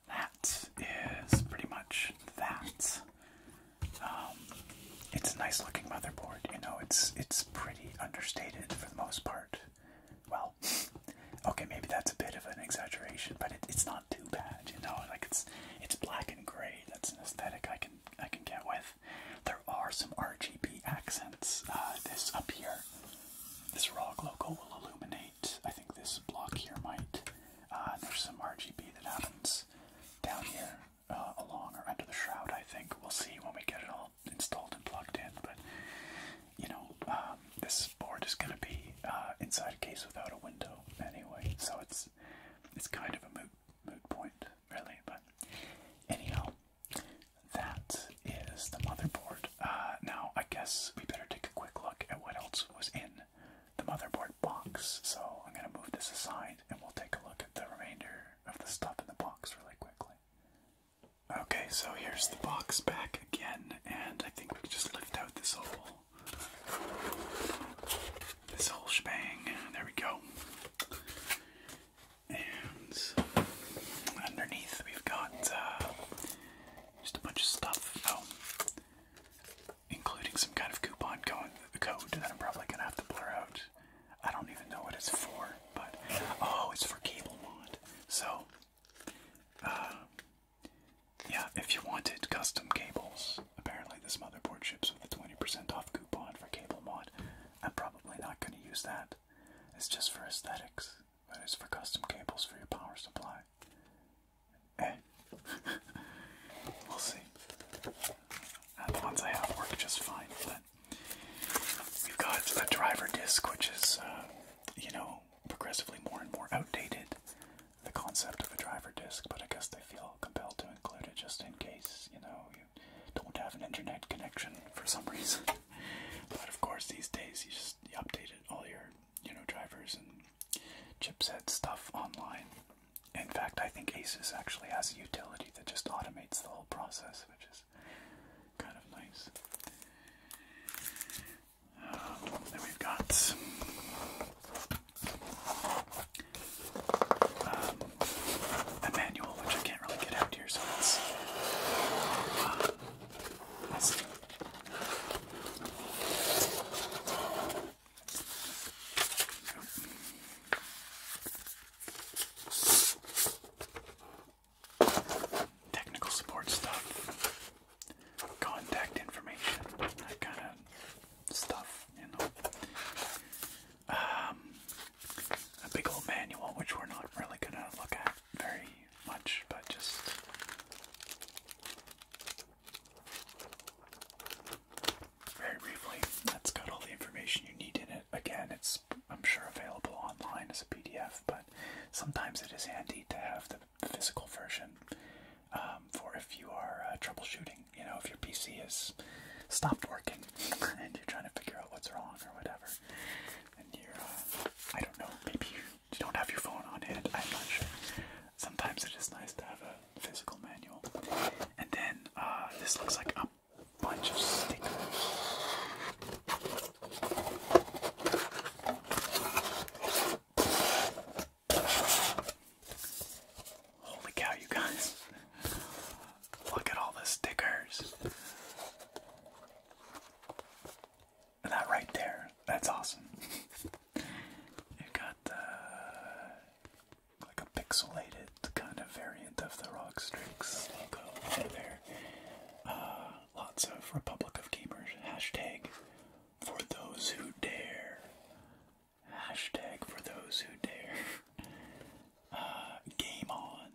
that is pretty much that. Um, it's a nice looking motherboard, you know. It's it's pretty understated for the most part. Well, [LAUGHS] okay, maybe that's a bit of an exaggeration, but it's not too bad, you know. Like it's it's black and gray. That's an aesthetic I can I can get with. There are some RGB accents. Uh, this up here, this Rock logo will illuminate I think this block here might, uh, there's some RGB that happens down here uh, along or under the shroud, I think. We'll see when we get it all installed and plugged in, but you know, um, this board is going to be uh, inside a case without a window anyway, so it's it's kind of a moot, moot point, really, but anyhow, that is the motherboard. now, I guess we better take a quick look at what else was in the motherboard box. So I'm going to move this aside and we'll take a look at the remainder of the stuff in the box really quickly. Okay, so here's the box back again, and I think we can just lift out this whole this whole shebang. There we go. And underneath we've got uh, just a bunch of stuff. Oh including some kind of coupon code, that I'm probably gonna have to blur out. I don't even know what it's for, but oh, it's for cable mod. So, uh, yeah, if you wanted custom cables, apparently this motherboard ships with a 20% off coupon for cable mod. I'm probably not gonna use that. It's just for aesthetics, but it's for custom cables for your power supply we'll see. the uh, ones I have work just fine, but we've got a driver disc, which is, uh, you know, progressively more and more outdated. The concept of a driver disc, but I guess they feel compelled to include it just in case, you know, you don't have an internet connection for some reason. [LAUGHS] but of course, these days you just update it all your you know, drivers and chipset stuff online. In fact, I think Asus actually has a utility that just automates the whole process, which is kind of nice. Um, then we've got a um, manual, which I can't really get out here, so it's Technical support stuff, contact information, that kind of stuff, you know. Um, a big old manual, which we're not really gonna look at very much, but just very briefly. That's got all the information you need in it. Again, it's I'm sure available online as a PDF, but sometimes it is handy to have the physical version um, for if you are uh, troubleshooting. You know, if your PC has stopped working [LAUGHS] and you're trying to figure out what's wrong or whatever, and you're uh, I don't know, maybe you don't have your phone on hand. I'm not sure sometimes it is nice to have a physical manual. And then uh, this looks like a bunch of stickers. Holy cow, you guys! [LAUGHS] Look at all the stickers. that right there, that's awesome. [LAUGHS] you got uh, like a pixelated kind of variant of the Rock logo there. Uh, lots of Republic of Gamers hashtag for those who dare. Hashtag for those who dare. [LAUGHS] Uh, game on.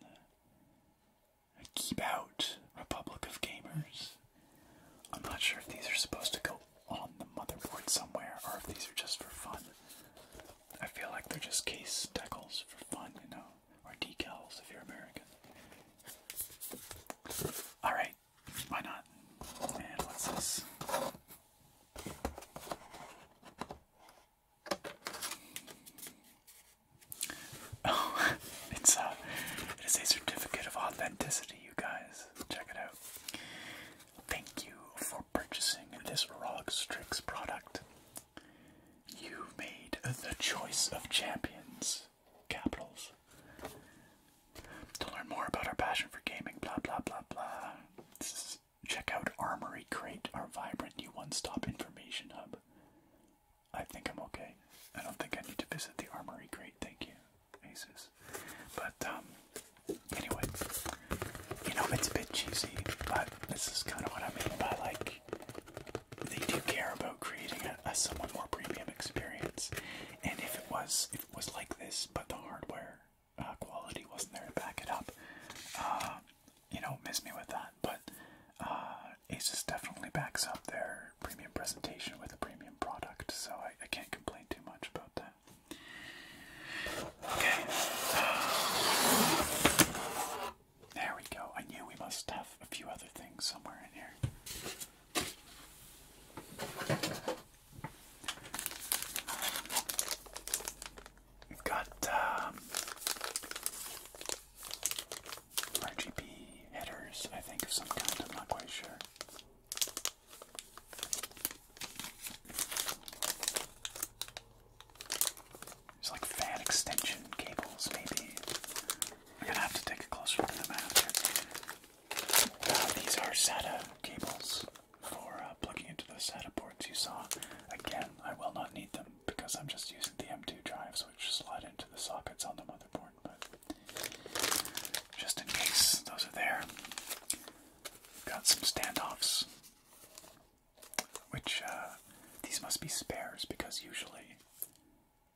Keep out, Republic of Gamers. I'm not sure if these are supposed to go on the motherboard somewhere or if these are just for fun. I feel like they're just case decals for fun, you know, or decals if you're American. Alright, why not? And what's Oh, [LAUGHS] it's a, uh, it is a certificate of authenticity, you guys. Check it out. Thank you for purchasing this Rog Strix product. You made the choice of champions. Capitals. To learn more about our passion for gaming, blah blah blah blah. check out Armory Crate, our vibrant new one-stop information hub. I think I'm okay. I don't think I need to visit the Armory Crate. Thank you aces. But um, anyway, you know it's a bit cheesy, but this is kind of what I mean by like they do care about creating a, a somewhat more premium experience. And if it was, it was like this, but the hardware uh, quality wasn't there to back it up, uh, you know, miss me with that. But uh, Asus definitely backs up their premium presentation with a premium product, so I, I can't complain too much about that. Okay. There we go. I knew we must have a few other things somewhere in here. We've got um, RGB headers, I think, of some kind. I'm not quite sure. There's like fan extension cables, maybe. I'm gonna have to take a closer look at them after. Uh, these are SATA cables for uh, plugging into the SATA ports you saw. Again, I will not need them because I'm just using the M2 drives which slide into the sockets on the motherboard just in case those are there. Got some standoffs, which uh, these must be spares because usually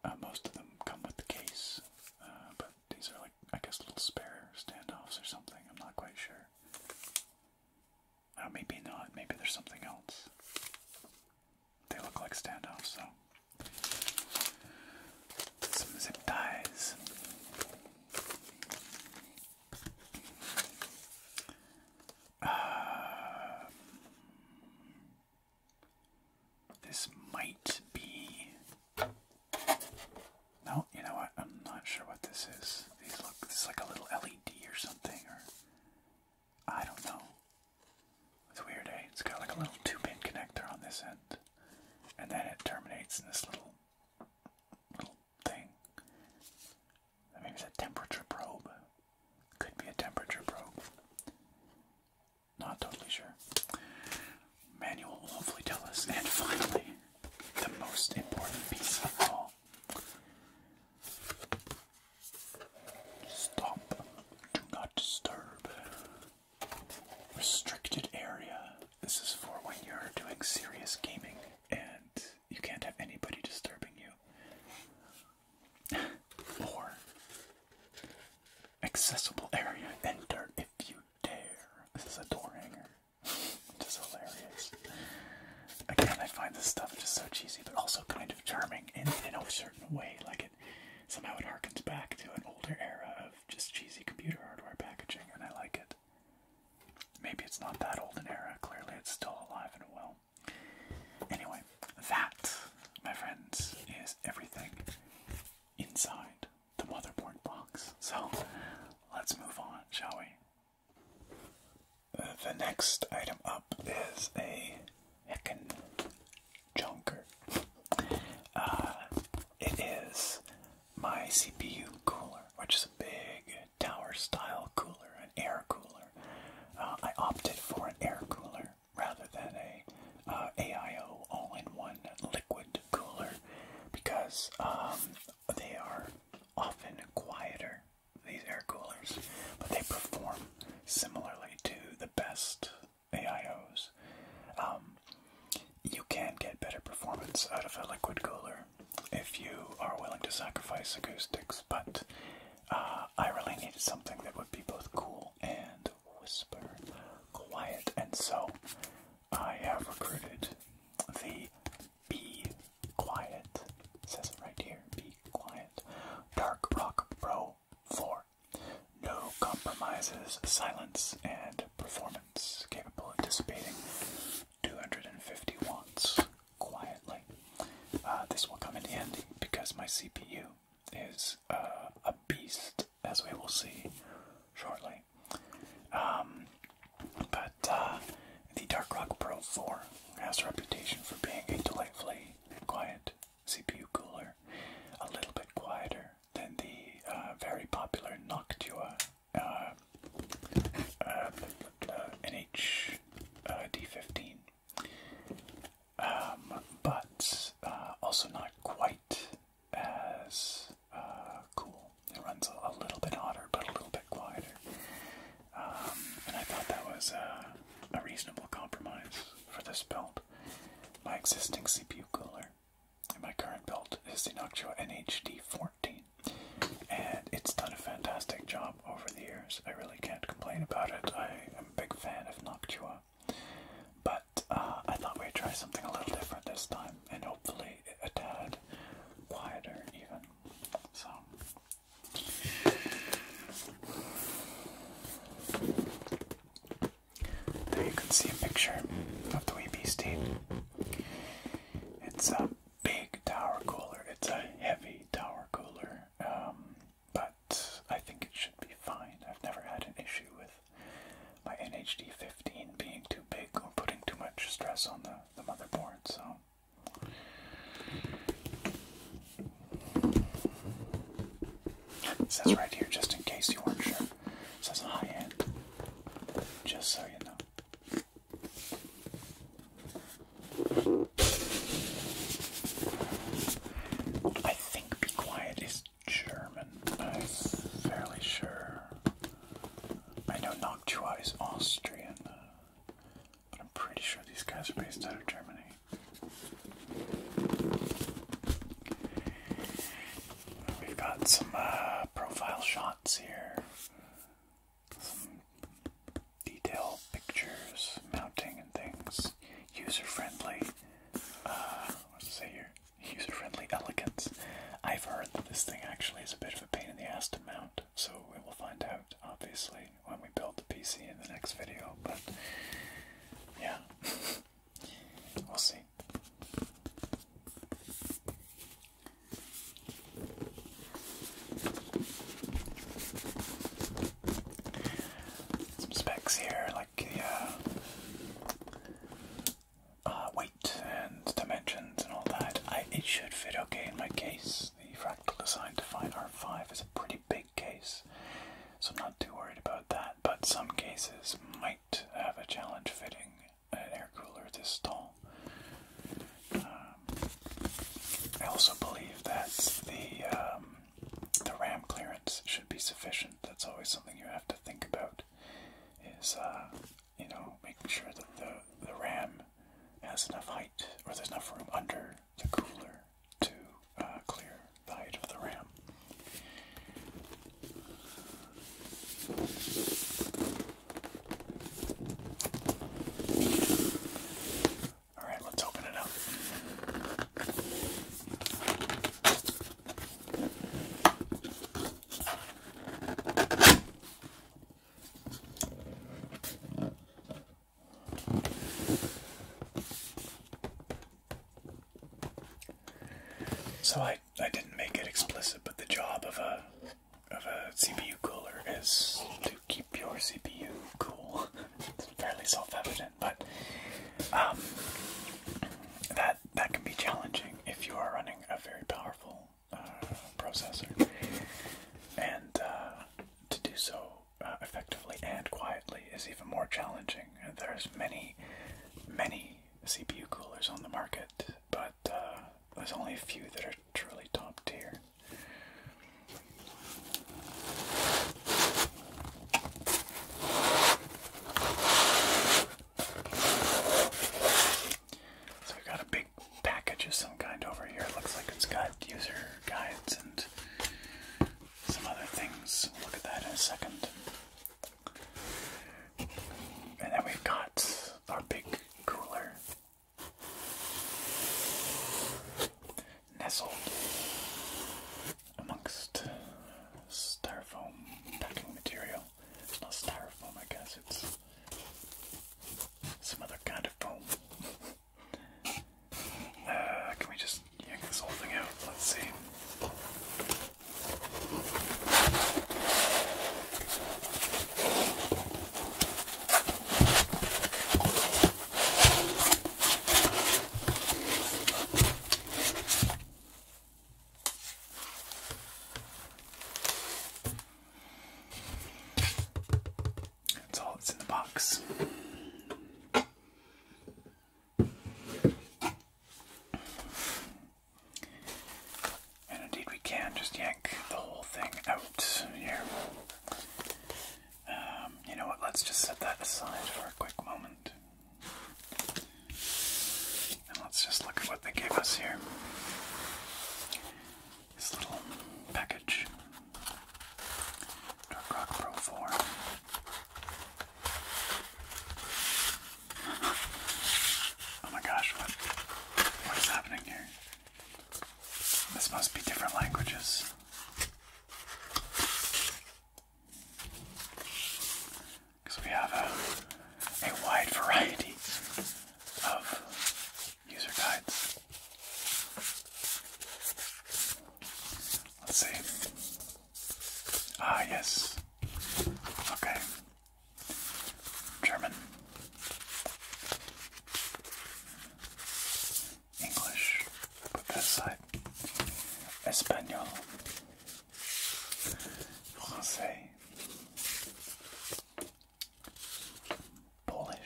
uh, most of them come with the case. Uh, but these are like, I guess, little spare standoffs or something. I'm not quite sure. Uh, maybe not. Maybe there's something else. They look like standoffs, so. Some zip ties. [SIGHS] this might be. No, you know what? I'm not sure what this is. These look. This like a little LED or something, or I don't know. It's weird, eh? It's got like a little two-pin connector on this end, and then it terminates in this little little thing. Maybe it's a temperature probe. Could be a temperature probe. Not totally sure. Manual will hopefully tell us. [LAUGHS] And finally, the most important piece of all. Stop. Do not disturb restricted area. This is for when you're doing serious gaming and you can't have anybody disturbing you. or accessible area. Enter if you dare. This is a door hanger. just hilarious. Again, I find this stuff just so cheesy, but also kind of charming And in a certain way. Like it somehow it harkens back to an older era of just cheesy computer hardware packaging, and I like it. Maybe it's not that old an era, clearly, it's still alive and well. Anyway, that, my friends, is everything inside the motherboard box. So let's move on, shall we? the next item up is a heckin' junker. Uh, it is my CPU cooler, which is a big tower style cooler, an air cooler. Uh, I opted for an air cooler rather than a uh, AIO all-in-one liquid cooler because um, they are often quieter these air coolers, but they perform similarly to the best AIOs. Um, you can get better performance out of a liquid cooler if you are willing to sacrifice acoustics, but uh, I really needed something that would be both cool and whisper quiet, and so I have recruited the Be Quiet, says it right here, Be Quiet, Dark Rock Pro 4. No compromises, silence, and performance ovens capable of dissipating 250 watts quietly. Uh, this will come in handy because my CPU is uh, a beast, as we will see shortly. Um, but uh, the Dark Rock Pro 4 has a reputation for being a delightfully quiet CPU cooler, a little bit quieter than the uh, very popular Noctua uh, uh, uh NH D15, um, but also not quite as cool. It runs a, little bit hotter, but a little bit quieter. Um, and I thought that was a reasonable compromise for this build. My existing CPU cooler and my current build is the Noctua NHD14. And it's done a fantastic job over the years. I really can't complain about it. I am a big fan of Noctua. But uh, I thought we'd try something a little different this time, and hopefully a tad quieter, even. So. There you can see a picture of the wee beastie it's a big tower cooler. It's a heavy tower cooler, um, but I think it should be fine. I've never had an issue with my NHD 15 being too big or putting too much stress on the, the motherboard, so. It says right here, just in case you weren't sure, it says high end just so you know. I think Be Quiet is German. I'm fairly sure. I know Noctua is Austrian, uh, but I'm pretty sure these guys are based out of Germany. We've got some uh, profile shots here, some detail pictures, mounting and things. User friendly. Uh, what say here? User friendly elegance. I've heard that this thing actually is a bit of a pain in the ass to mount, so we will find out, obviously, when we build the PC in the next video. But yeah, [LAUGHS] we'll see. Some specs here, like the uh, uh, weight and dimensions and all that. I, it should fit okay in my case. The fractal design Define R5 is a pretty big case, so I'm not too worried about that. But some cases might have a challenge fitting an air cooler this tall. Um, I also believe that the um, the RAM clearance should be sufficient. That's always something you have to think about. Is uh, you know making sure that the the RAM has enough height or there's enough room under the cooler to uh, clear the height of the RAM. All right, let's open it up. So I I didn't make it explicit, but the job of a of a CPU cooler is to keep your CPU cool. [LAUGHS] it's fairly self-evident, but um, that that can be challenging if you are running a very powerful uh, processor, and uh, to do so uh, effectively and quietly is even more challenging. There's many many CPU coolers on the market, but uh, there's only a few that are truly top tier. So we got a big package of some kind over here. looks like it's got user guides and some other things. look at that in a second. And then we've got our big cooler nestled amongst styrofoam packing material. It's not styrofoam, I guess, it's some other kind of foam. [LAUGHS] Uh, can we just yank this whole thing out? Let's see. That's all that's in the box. And indeed, we can just yank the whole thing out here. Um, you know what? Let's just set that aside for a quick moment. And let's just look at what they gave us here. This little package Dark Pro 4. Oh my gosh, what what is happening here? This must be different languages. Because we have a, a wide variety of user guides. Let's see. Ah, yes. Okay. German, English, put that aside, Espanol, Francais, Polish,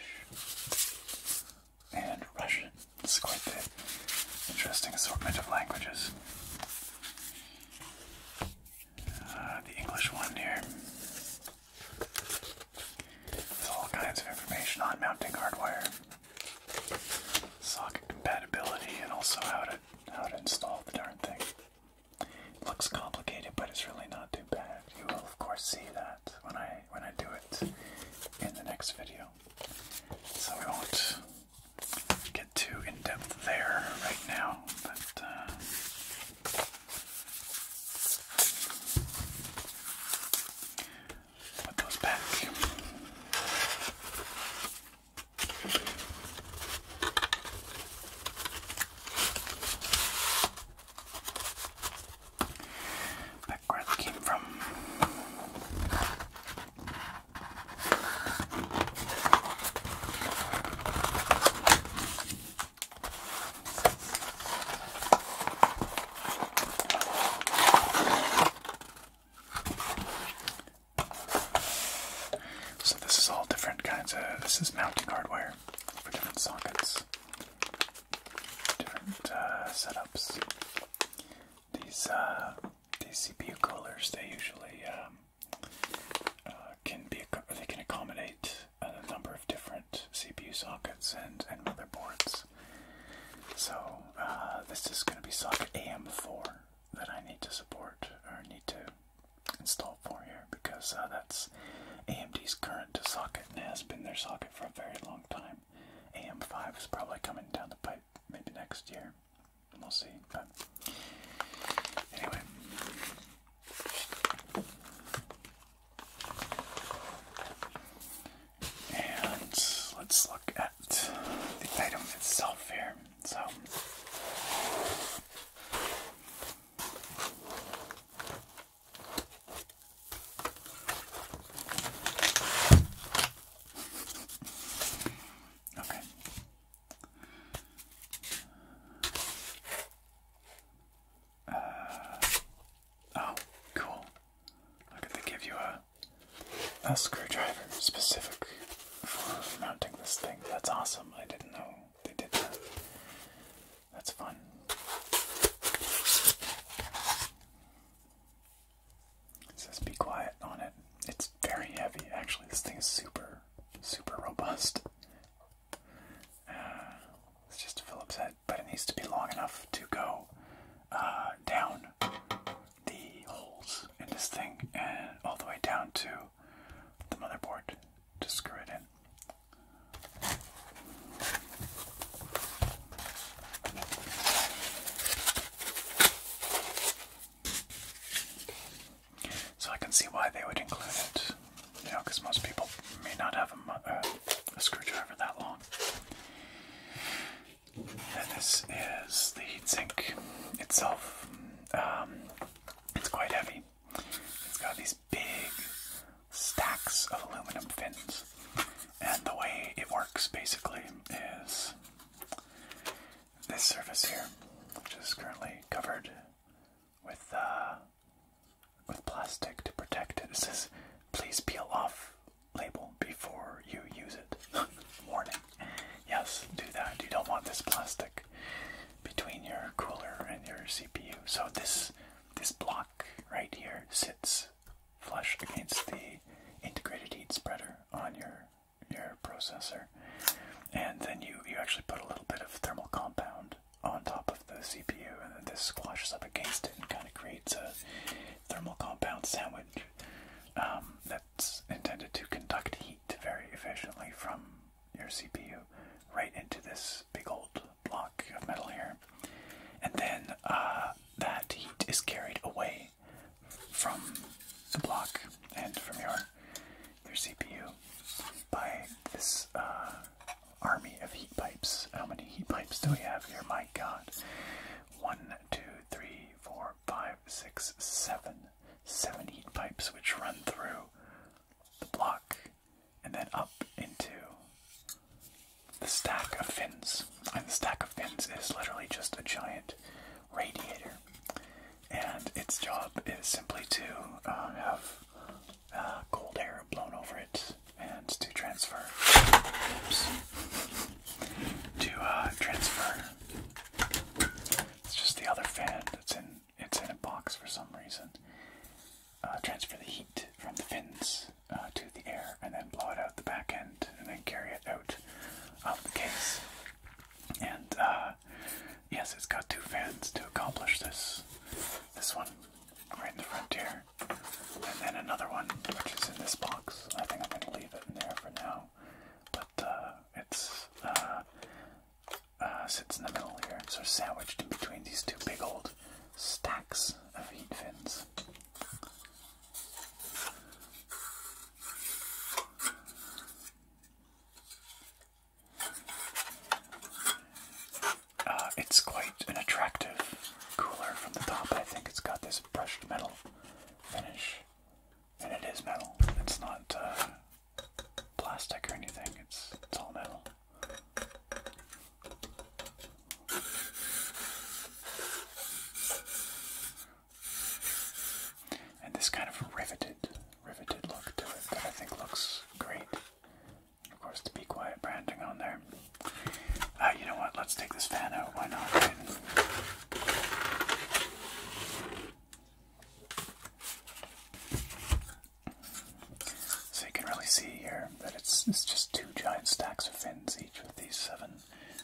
and Russian. It's quite the interesting assortment of languages. Uh, the English one here. There's all kinds of information on mounting hardware, socket compatibility, and also how to how to install the darn thing. looks complicated, but it's really not too bad. You will of course see that when I when I do it in the next video. So we won't get too in depth there right now, but uh, Put those back. Back where they came from. So this is all different kinds of this is mounting hardware for different sockets, different uh, setups. These uh, these CPU coolers they usually um, uh, can be they can accommodate a number of different CPU sockets and and motherboards. So uh, this is going to be socket AM4 that I need to support or need to install for here because uh, that's AMD's current socket and has been their socket for a very long time. AM5 is probably coming down the pipe maybe next year. We'll see. But anyway, and let's look at the item itself here. So Okay. Uh, oh, cool. Look at they give you a a screwdriver specific for mounting this thing. That's awesome. I didn't know they did that. That's fun. It says be quiet on it. It's very heavy. Actually, this thing is super, super robust it's just a Phillips head, but it needs to be long enough to go uh, down the holes in this thing and all the way down to the motherboard to screw it in. So I can see why they would include it. You know, because most people may not have uh, a, screwdriver that long. And this is the heatsink itself. Um, it's quite heavy. It's got these big stacks of aluminum fins. And the way it works basically is this surface here, which is currently covered with uh, with plastic to protect it. It says, "Please peel off label before you use it." [LAUGHS] Warning. Yes, do that. You don't want this plastic between your cooler and your CPU. So this this block right here sits flush against the integrated heat spreader on your your processor, and then you you actually put a little bit of thermal compound on top of the CPU, and then this squashes up against it and kind of creates a thermal compound sandwich um, that's intended to conduct heat very efficiently from your CPU right into this big old block of metal here. And then uh, that heat is carried away from the block and from your their CPU by this uh, army of heat pipes. How many heat pipes do we have here? My god. One, two, three, four, five, six, seven. Seven heat pipes which run through the block and then up into the stack of fins. And the stack of fins is literally just a giant radiator. And its job is simply to uh, have uh, cold air blown over it and to transfer [LAUGHS] to uh, transfer it's just the other fan that's in it's in a box for some reason uh, transfer the heat from the fins to the air and then blow it out the back end and then carry it out of the case and uh, yes, it's got two fans to accomplish this. This one right in the front here, and then another one which is in this box. I think I'm going to leave it in there for now, but uh, it's uh, uh, sits in the middle here, so sandwiched in between these two big old stacks of heat fins. Uh, it's quite an attractive cooler from the top. I think it's got this brushed metal finish, and it is metal. It's not uh, plastic or anything. It's it's all metal. And this kind of riveted, riveted look to it that I think looks great. Of course, the Be Quiet branding on there. Uh, you know what? Let's take this fan out. Why not? So you can really see here that it's it's just two giant stacks of fins each with these seven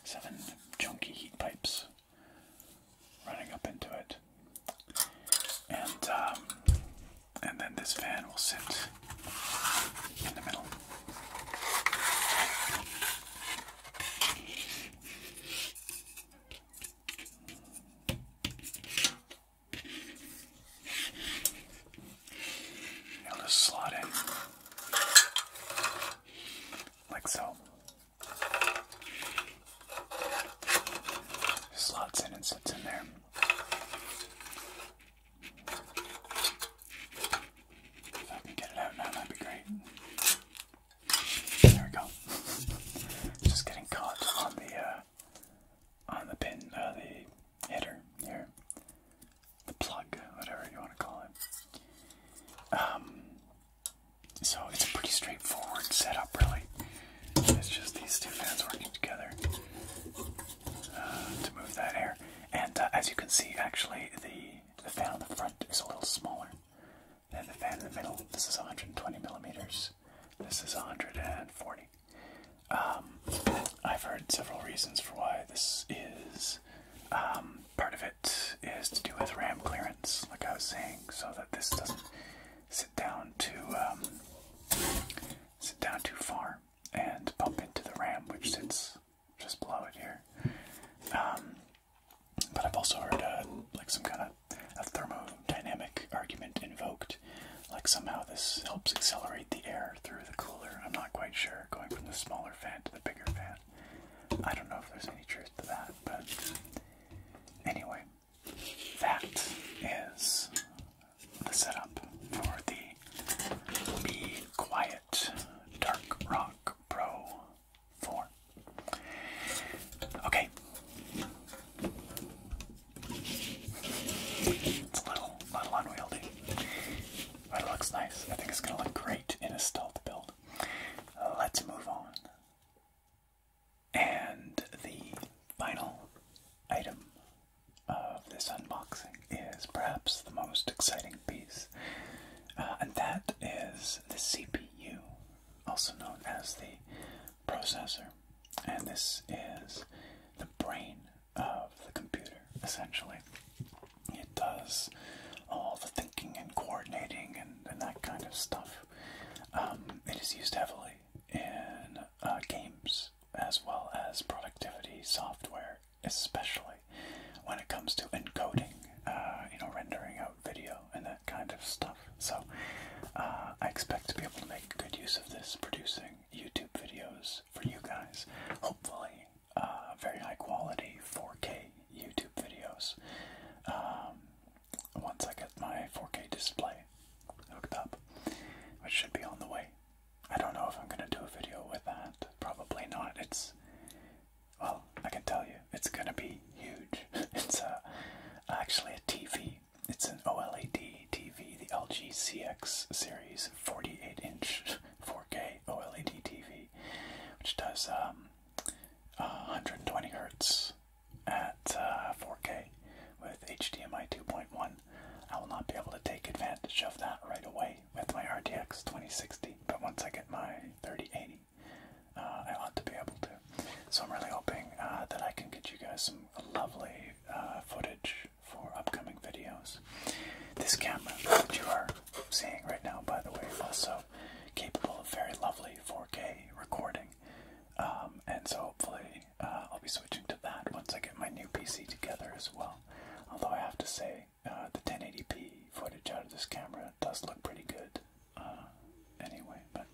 seven chunky heat pipes running up into it and um, and then this fan will sit in the middle. I'll just slot in like so. There's lots and it in there. If I can get it out now, that'd be great. There we go. [LAUGHS] Just getting caught on the uh, on the pin, uh, the header here, the plug, whatever you want to call it. Um, so it's a pretty straightforward setup, really. It's just these two fans working together uh, to move that air. And uh, as you can see, actually, the, the fan on the front is a little smaller than the fan in the middle. This is 120 millimeters. This is 140. Um, I've heard several reasons for why this is. Um, part of it is to do with RAM clearance, like I was saying, so that this doesn't sit down to um, sit down too far and bump into the ram, which sits just below it here. Um, but I've also heard uh, like some kind of a thermodynamic argument invoked, like somehow this helps accelerate the air through the cooler. I'm not quite sure, going from the smaller fan to the bigger fan. I don't know if there's any truth to that, but anyway, that is the setup for the Be Quiet Dark Rock Pro 4. Okay. It's a little, little unwieldy, but it looks nice. I think it's going to look great in a stealth build. Let's move on and the final item of this unboxing is perhaps the most exciting piece, uh, and that is the CPU, also known as the processor. And this is the brain of the computer, essentially. It does all the thinking and coordinating and, that kind of stuff. Um, it is used heavily in uh, games as well as productivity software, especially when it comes to encoding, uh, you know, rendering out video and that kind of stuff. So uh, I expect to be able to make good use of this, producing YouTube videos for you guys. Hopefully, very high quality 4K YouTube videos. Um, once I get my 4K display hooked up, which should be on the way. I don't know if I'm gonna do a video with that. Probably not. It's well, I can tell you, it's gonna be huge. [LAUGHS] it's uh, actually a TV. It's an OLED TV, the LG CX series 48-inch 4K OLED TV, which does 120 um, hertz at 4K uh, with HDMI 2.1. I will not be able to take advantage of that right away with my RTX 2060, but once I get my 3080, uh, I ought to be able to. So I'm really hoping uh, that I can get you guys some lovely footage for upcoming videos. This camera that you are seeing right now, by the way, also capable of very lovely 4K recording. Um, and so hopefully uh, I'll be switching to that once I get my new PC together as well. Although I have to say, uh, the 1080p footage out of this camera does look pretty good. Uh, anyway, but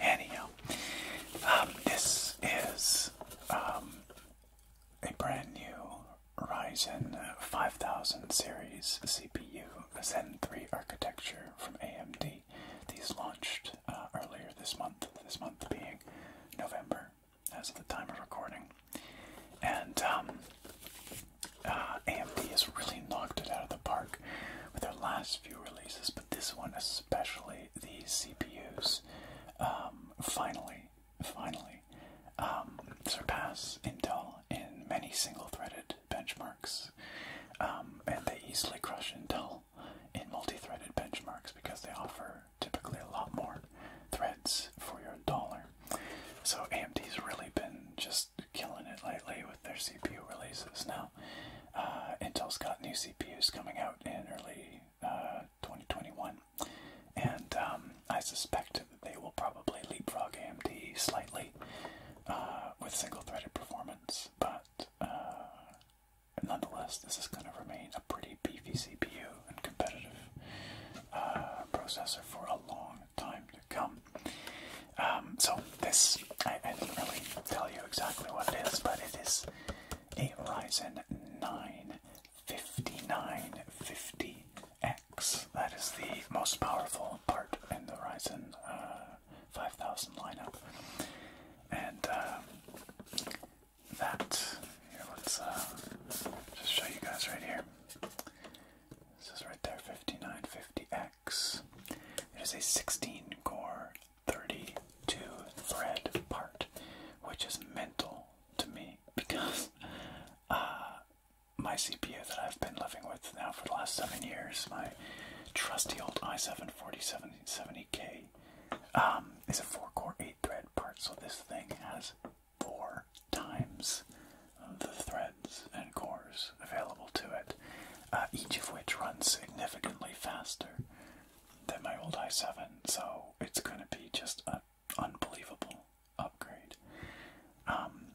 anyhow, um, this is um, a brand new Ryzen 5000 series CPU Zen 3 architecture from AMD. These launched uh, earlier this month, this month being November as of the time of recording. And um, uh, AMD has really knocked it out of the park with their last few releases, but this one especially, the CPUs um, finally, finally um, surpass Intel in many single-threaded benchmarks, and they easily crush Intel in multi-threaded benchmarks because they offer typically a lot more threads for your dollar. So AMD's really been just killing it lately with their CPU releases. Now, uh, Intel's got new CPUs coming out in early uh, 2021, and um, I suspect they will probably leapfrog AMD slightly uh, with single-threaded performance. But nonetheless, this is going to remain a pretty beefy CPU and competitive uh, processor for a long time to come. Um, so this, I, didn't really tell you exactly what it is, but it is a Ryzen 9 5950X. That is the most powerful part in the Ryzen uh, 5000 lineup. And um, that. Here, let's uh, just show you guys right here. This is right there, 5950X. It is a 16 core, 32 thread part, which is mental to me because [LAUGHS] uh, my CPU that I've been living with now for the last seven years, my trusty old i7 4770K um, is a four core eight thread part. So this thing has four times the threads and cores available to it, uh, each of which runs significantly faster than my old i7. So it's going to be just an unbelievable upgrade. Um,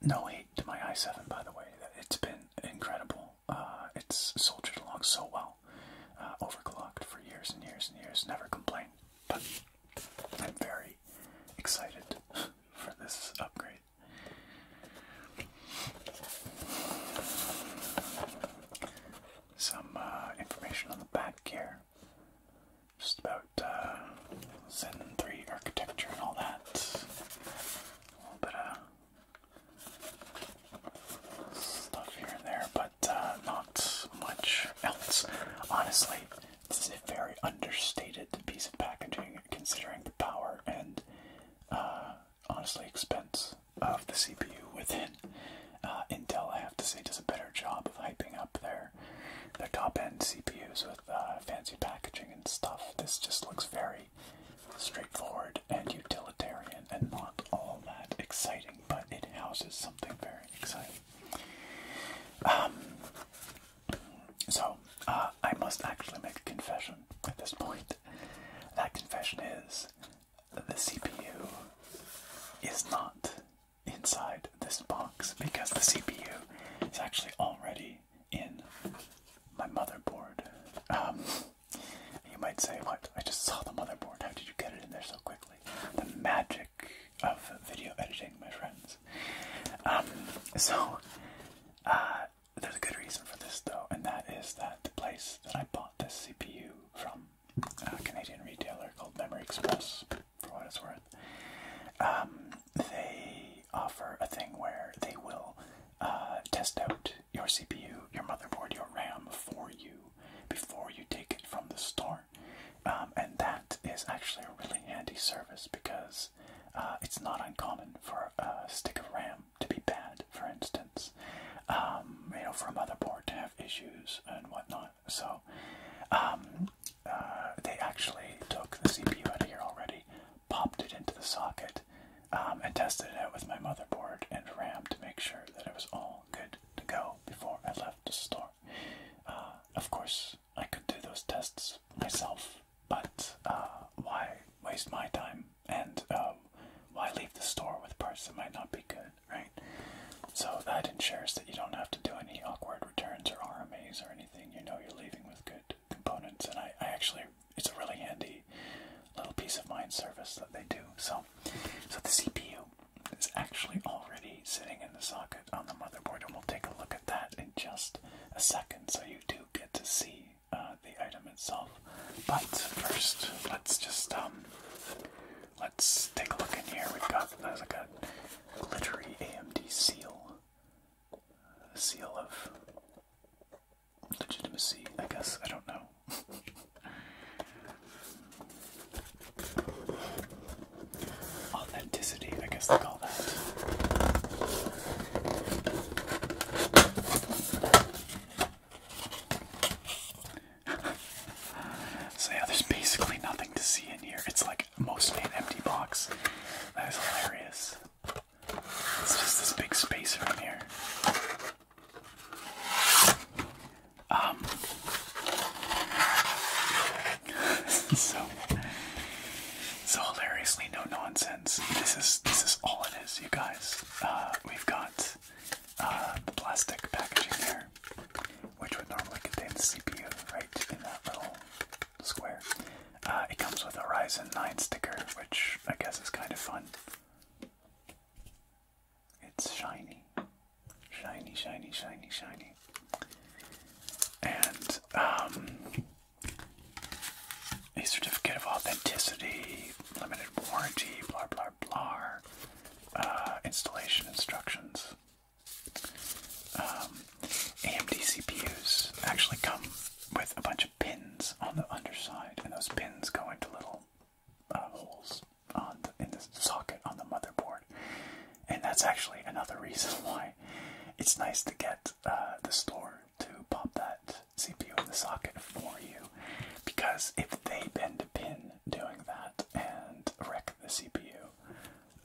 no hate to my i7, by the way. It's been incredible uh, it's soldiered along so well. Uh, overclocked for years and years and years, never complained. But I'm very excited [LAUGHS] for this upgrade. Some uh, information on the back here. Just about Zen 3 architecture and all that. A stuff here and there, but uh, not much else. Honestly, this is a very understated piece of packaging considering the power and uh, honestly expense of the CPU within. Uh, Intel, I have to say, does a better job of hyping up their their top end CPUs with fancy packaging and stuff. This just looks very straightforward and utilitarian and not all that exciting, but it houses something very exciting. Um, so, uh, I must actually make a confession at this point. That confession is that the CPU is not inside this box because the CPU is actually already in my motherboard. Um, and you might say, What? I just saw the motherboard. How did you get it in there so quickly? The magic of video editing, my friends. Um, so, uh, there's a good reason for this, though, and that is that the place that I bought this CPU from, a Canadian retailer called Memory Express, for what it's worth, um, they offer a thing where they will uh, test out your CPU, your motherboard, your RAM for you before you take it from the store. Um, and that is actually a really handy service because uh, it's not uncommon for a stick of RAM to be bad, for instance. Um, you know, for a motherboard to have issues and whatnot. So, um, uh, they actually took the CPU out of here already, popped it into the socket, um, and tested it out with my motherboard and RAM to make sure that it was all good to go before I left the store. Uh, of course, I could do those tests myself, but uh, why waste my time and um, why leave the store with parts that might not be good, right? So that ensures that you don't have to do any awkward returns or RMAs or anything. You know you're leaving with good components, and I, I actually, it's a really handy little peace of mind service that they do. So so the CPU is actually already sitting in the socket on the motherboard, and we'll take a look at that in just a second so you do get to see uh, the item itself. But first, let's just um, let's take a look in here. We've got there's like a glittery AMD seal, seal of legitimacy, I guess. I don't know. [LAUGHS] Authenticity, I guess they call that. [LAUGHS] so yeah, there's basically nothing to see in here. It's like mostly an empty box. That is hilarious. It's just this big spacer in here. Um, [LAUGHS] so, so hilariously no nonsense. This is this is all it is, you guys. Uh, we've got uh, the plastic packaging here, which would normally contain the CPU right in that little square. Uh, it comes with a Ryzen 9 sticker, which I guess is kind of fun. It's shiny. Shiny, shiny, shiny, shiny. And um, a certificate of authenticity, limited warranty, blah, blah, blah. Uh, installation instructions. Um, AMD CPUs actually come with a bunch of pins on the underside, and those pins go into little uh, holes on in the socket on the motherboard, and that's actually another [LAUGHS] reason why it's nice to get uh, the store to pop that CPU in the socket for you, because if they bend a pin doing that and wreck the CPU,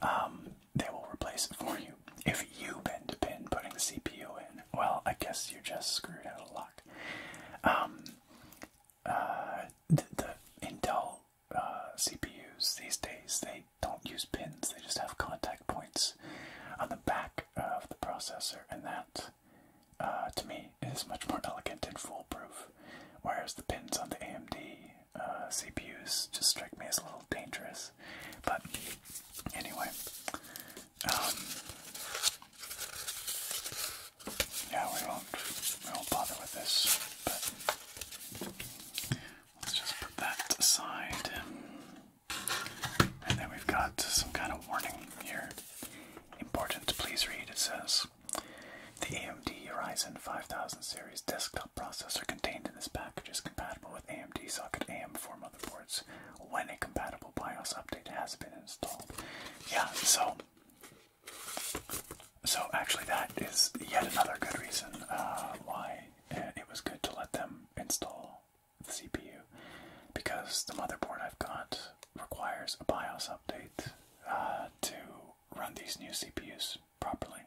um, they will replace it for you. If you bend a pin putting the CPU in, well, I guess you're just screwed out of luck. Um, uh, the, Intel uh, CPUs these days they don't use pins; they just have contact points on the back of the processor, and that, uh, to me, is much more elegant and foolproof. Whereas the pins on the AMD uh, CPUs just strike me as a little dangerous. But anyway, um, yeah, we won't, we won't bother with this, but let's just put that aside. And then we've got some kind of warning here. Important, please read, it says. The AMD Ryzen 5000 series desktop processor contained in this package is compatible with AMD Socket AM4 motherboards when a compatible BIOS update has been installed. Yeah, so so actually, that is yet another good reason uh, why it was good to let them install the CPU, because the motherboard I've got requires a BIOS update uh, to run these new CPUs properly,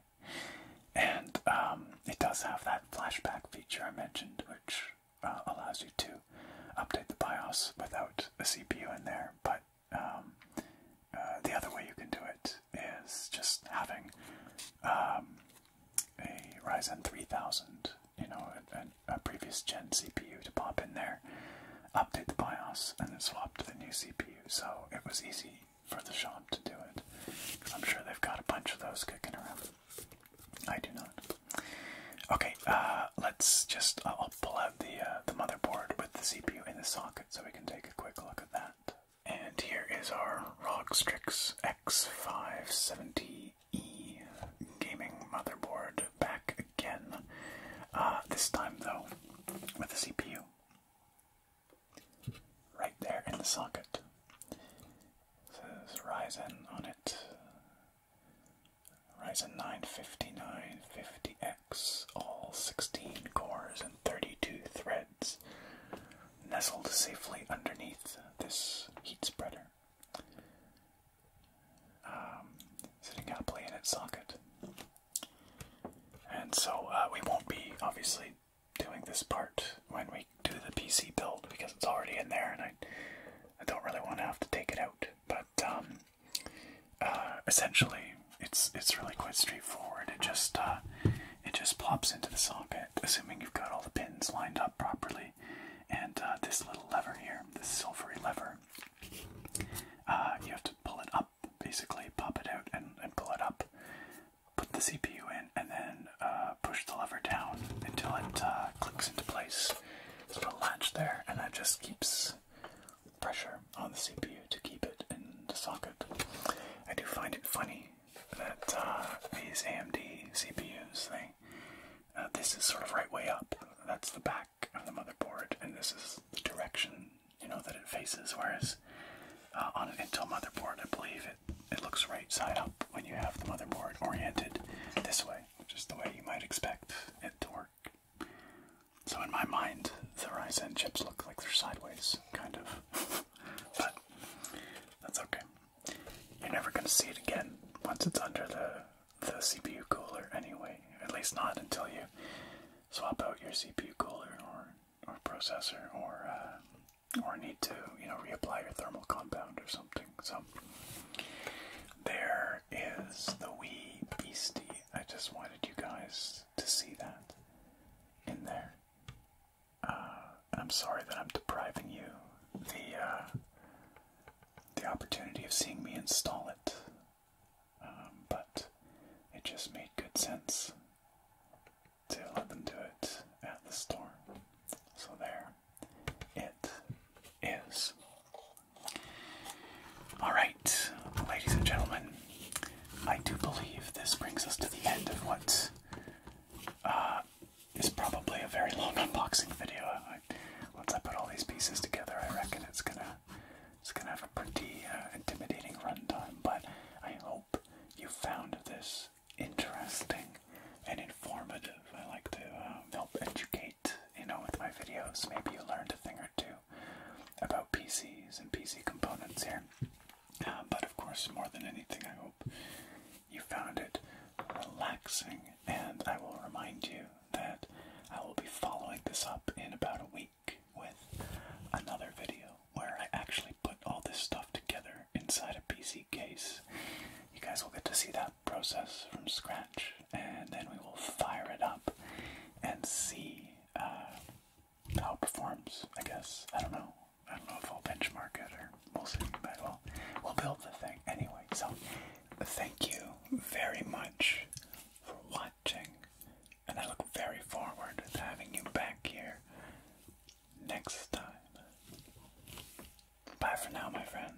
and um, it does have that flashback feature I mentioned, which uh, allows you to update the BIOS without a CPU in there, but um, uh, the other way you can do it is just having um, a Ryzen 3000, you know, a, previous gen CPU to pop in there, update the BIOS, and then swap to the new CPU. So it was easy for the shop to do it. I'm sure they've got a bunch of those kicking around. I do not. Okay, uh, let's just uh, I'll pull out the uh, the motherboard with the CPU in the socket so we can take a quick look at that. And here is our ROG Strix X570E gaming motherboard back again. this time though, with the CPU right there in the socket. says Ryzen on it. Ryzen 9 5950X, all 16 cores and 32 threads, nestled safely underneath this heat spreader, um, sitting happily in its socket. And so uh, we won't be obviously doing this part when we do the PC build because it's already in there and I, I don't really want to have to take it out. But um, uh, essentially, it's it's really quite straightforward. It just uh, it just plops into the socket, assuming you've got all the pins lined up properly. And uh, this little lever here, this silvery lever, uh, you have to pull it up. Basically, pop it out and, and pull it up. Put the CPU in, and then push the lever down until it clicks into place. little latch there, and that just keeps pressure on the CPU to keep it in the socket. I do find it funny that uh, these AMD CPUs, they uh, this is sort of right way up. That's the back of the motherboard, and this is the direction you know that it faces. Whereas uh, on an Intel motherboard, I believe it it looks right side up when you have the motherboard oriented this way, which is the way you might expect it to work. So in my mind, the rice chips look like they're sideways, kind of. [LAUGHS] but that's okay. You're never gonna see it again once it's under the the CPU cooler anyway. At least not until you swap out your CPU cooler or or processor or uh, or need to you know reapply your thermal compound or something. So there is the wee beastie. I just wanted you guys to see that in there. Uh, I'm sorry that I'm depriving you the uh, the opportunity of seeing me install it, um, but it just made good sense to let them do it at the store. So there, it is. Alright, ladies and gentlemen, I do believe this brings us to the end of what uh, is probably a very long [LAUGHS] unboxing video. once I put all these pieces together, I reckon it's gonna it's gonna have a pretty uh, intimidating runtime. But I hope you found this interesting and informative. I like to uh, help educate you know, with my videos. Maybe you learned a thing or two about PCs and PC components here. Uh, but of course, more than anything, I hope you found it relaxing. And I will remind you that I will be following this up in about a week with another video where I actually put all this stuff together inside a PC case. You guys will get to see that process from scratch and then we will fire it up and see uh, how it performs. I guess I don't know. I don't know if I'll benchmark it or we'll see. But we'll we'll build the thing anyway. So thank you very much for watching, and I look very forward to having you back here next time. Bye for now, my friends.